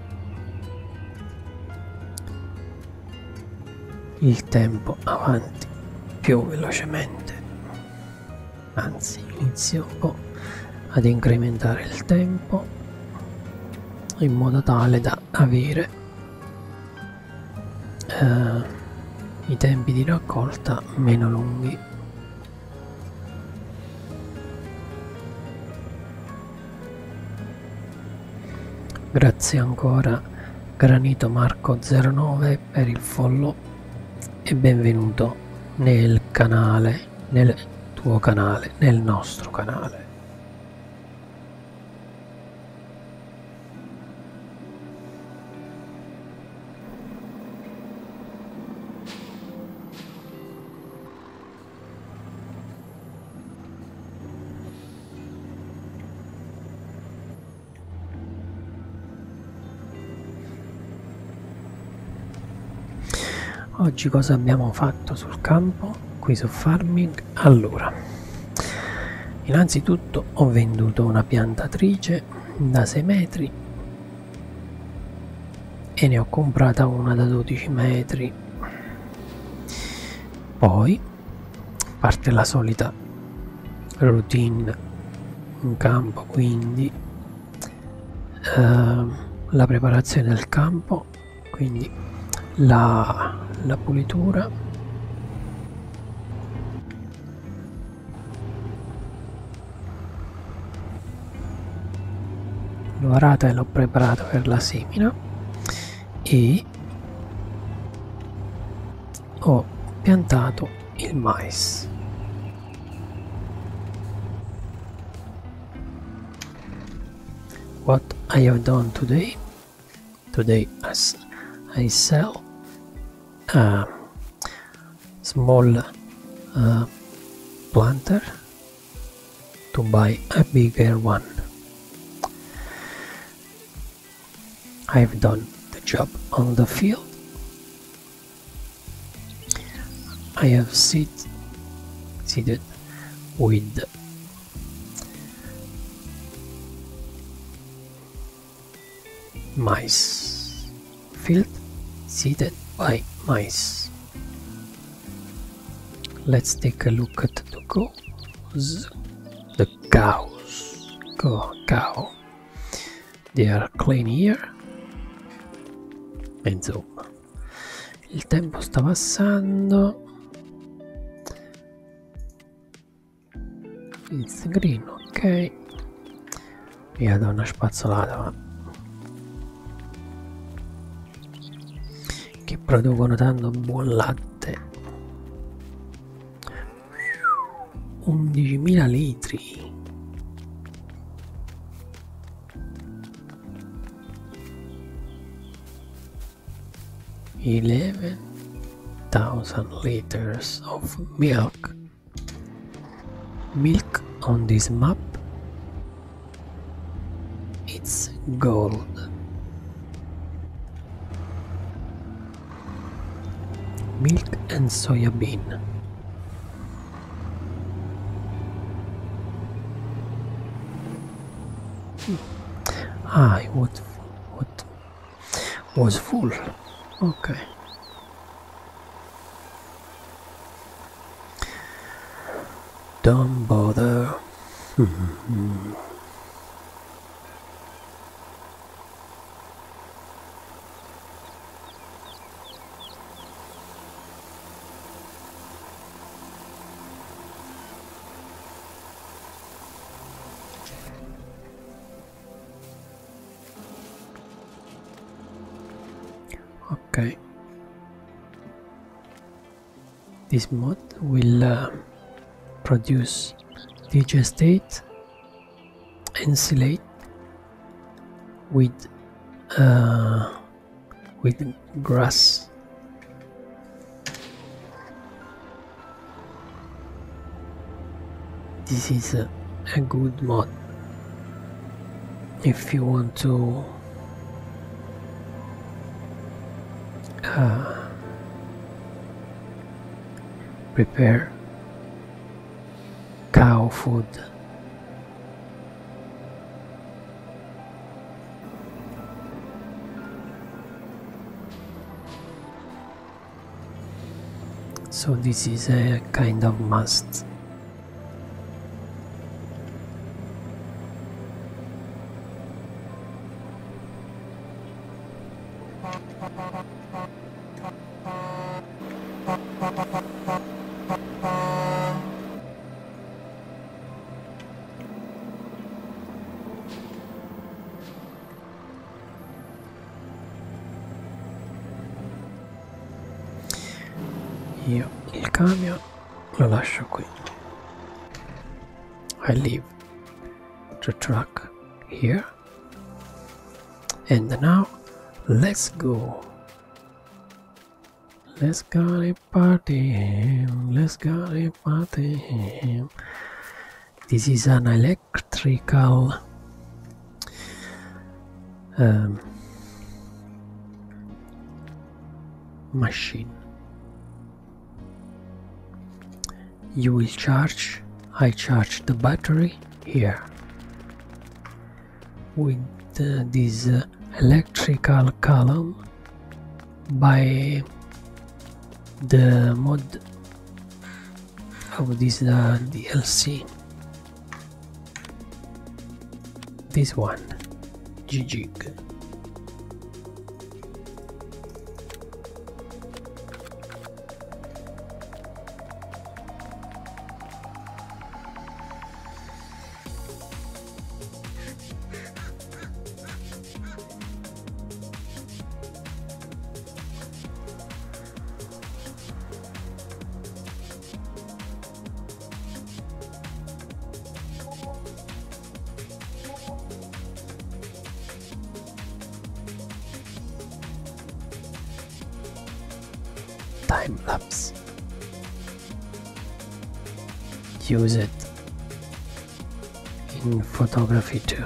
il tempo avanti più velocemente anzi inizio un po' ad incrementare il tempo in modo tale da avere eh, i tempi di raccolta meno lunghi grazie ancora granito marco 09 per il follow e benvenuto nel canale nel tuo canale nel nostro canale Oggi cosa abbiamo fatto sul campo qui su Farming? Allora Innanzitutto ho venduto una piantatrice da 6 metri e ne ho comprata una da 12 metri. Poi parte la solita routine in campo, quindi eh, la preparazione del campo, quindi la, la pulitura l'ho arata e l'ho preparata per la semina e ho piantato il mais what I have done today today as I sell a uh, small uh, planter to buy a bigger one. I've done the job on the field. I have seed, seeded with mice field seeded by mice let's take a look at the cows the cows cow, cow. they are clean here e insomma il tempo sta passando Filz green, ok. Via da una spazzolata. Che producono tanto buon latte. 11.000 litri. Eleven thousand liters of milk. Milk on this map it's gold. Milk and soya bean. Hmm. Ah, I would, would was full okay don't bother okay this mod will uh, produce digestate and with uh, with grass this is a, good mod if you want to uh, prepare cow food so this is a kind of must Io il camion lo lascio qui. I leave the truck here. And now let's go. Let's go party him. Let's go party him. This is an electric electrical um, machine. You will charge, I charge the battery here with uh, this uh, electrical column by the mod how this uh, DLC this one GG Time lapse. Use it in photography too.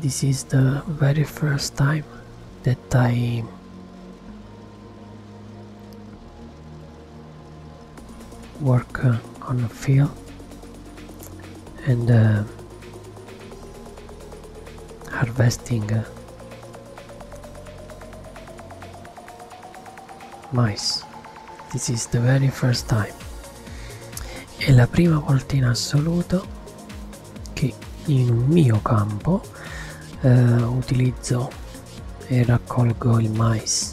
This is the very first time that I work uh, on a field and uh, harvesting uh, Mice, this is the very first time. È la prima volta in assoluto che in un mio campo eh, utilizzo e raccolgo il mais.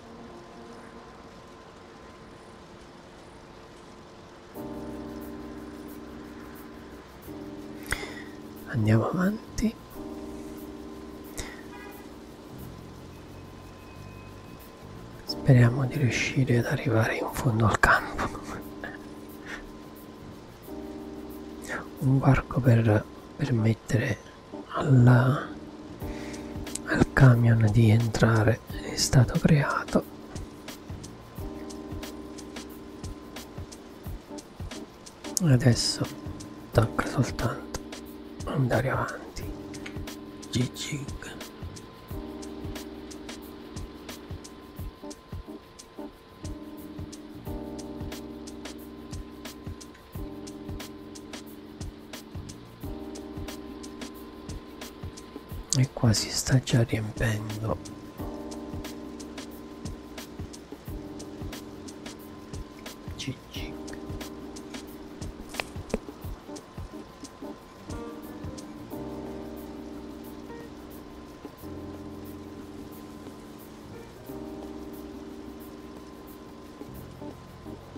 andiamo avanti speriamo di riuscire ad arrivare in fondo al campo un varco per permettere alla, al camion di entrare è stato creato adesso tocca soltanto andare avanti GG e qua si sta già riempendo Gigi.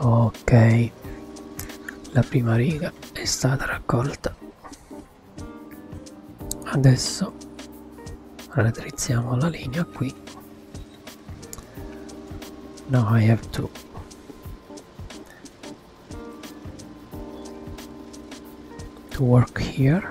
ok la prima riga è stata raccolta adesso raddrizziamo la linea qui now I have to to work here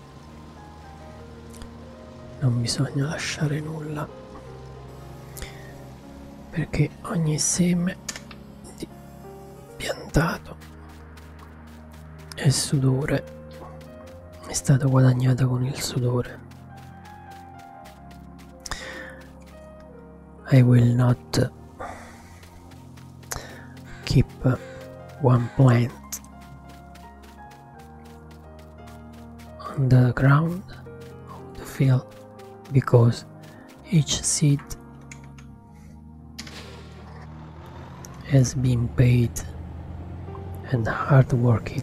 non bisogna lasciare nulla perché ogni seme piantato e sudore è stato guadagnato con il sudore I will not keep one plant on the ground of the field because each seed has been paid and hard worked.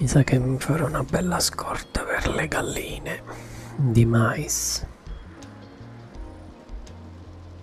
Mi sa che mi farò una bella scorta per le galline di mais.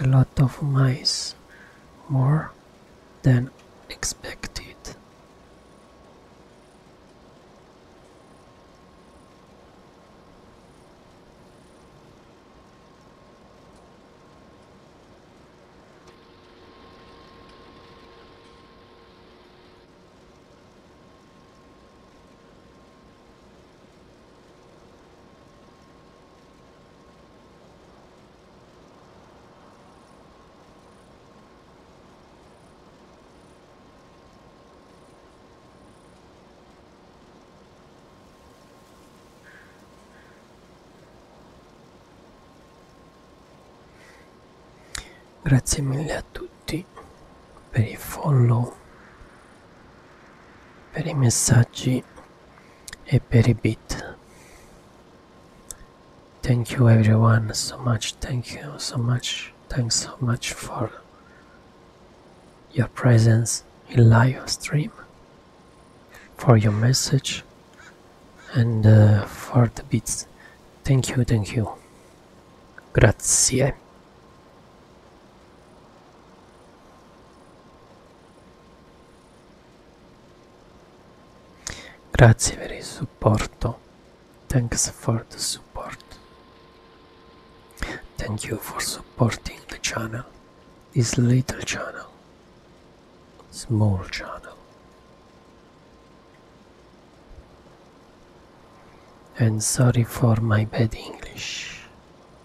a lot of mice, more than expected. Grazie mille a tutti per il follow per i messaggi e per i beat thank you everyone so much thank you so much thanks so much for your presence in live stream for your message and uh, for the beats thank you thank you grazie Grazie per il supporto. Thanks for the support. Thank you for supporting the channel. This little channel. Small channel. And sorry for my bad English.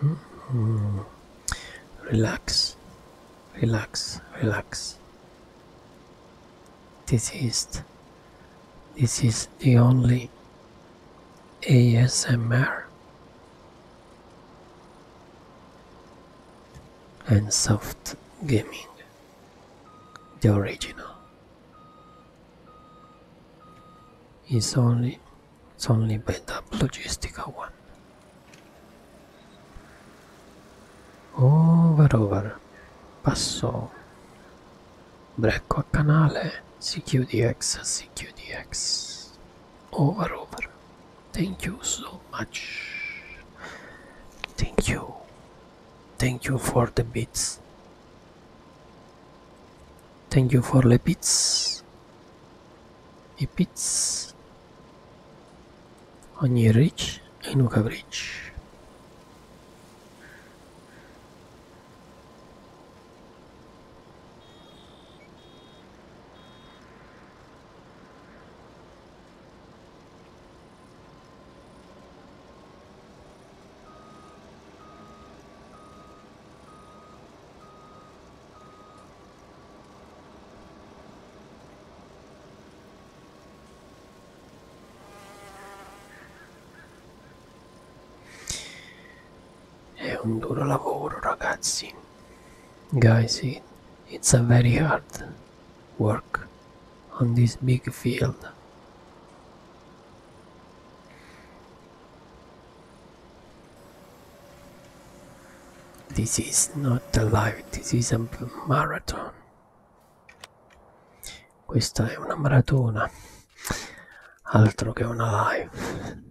Hmm. Relax, relax, relax. This is, this is the only ASMR. and soft gaming the original it's only it's only built up logistical one. Over over. Passò. Brecco a canale. CQDX, CQDX. Over over. Thank you so much. Thank you. Thank you for the beats thank you for lipids lipids on your reach and coverage È un duro lavoro, ragazzi. Guys, it's a very hard work on this big field. This is not a live, this is a marathon. Questa è una maratona, altro che una live.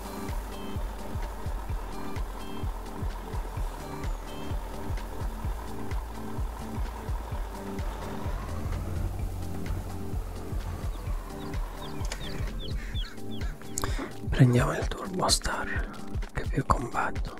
Prendiamo il Turbo Star che più combatto.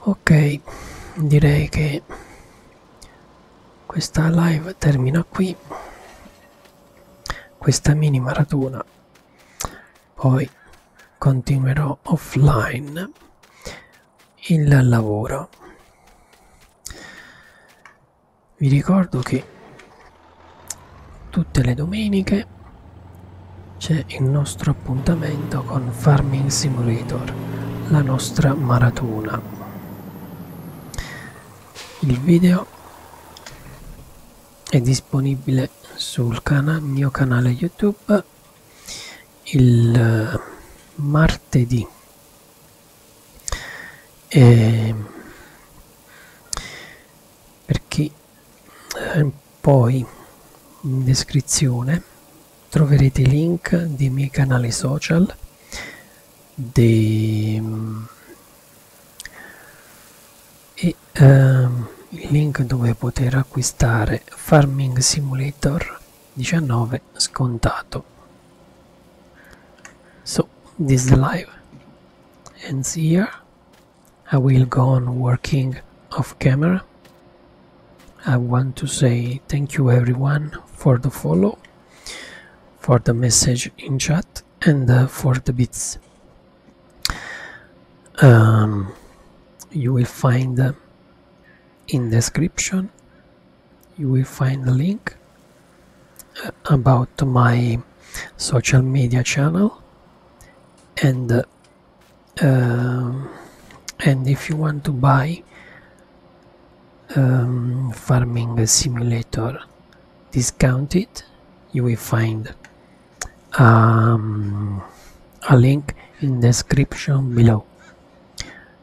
Ok, direi che questa live termina qui, questa mini maratona, poi continuerò offline il lavoro vi ricordo che tutte le domeniche c'è il nostro appuntamento con Farming Simulator la nostra maratona il video è disponibile sul cana mio canale youtube live il eh, martedì e ehm, perché eh, poi in descrizione troverete i link dei miei canali social dei, mm, e eh, il link dove poter acquistare Farming Simulator 19 scontato so this is live ends here I will go on working off camera I want to say thank you everyone for the follow for the message in chat and uh, for the bits um, you will find uh, in description you will find the link uh, about my social media channel and uh, um, and if you want to buy um, farming simulator discounted you will find um, a link in the description below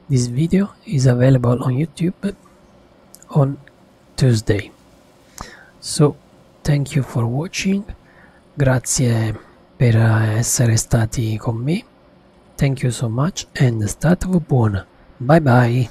this video is available on YouTube on Tuesday. So, thank you for watching, grazie per eh, essere stati con me, thank you so much and stato buona, bye bye!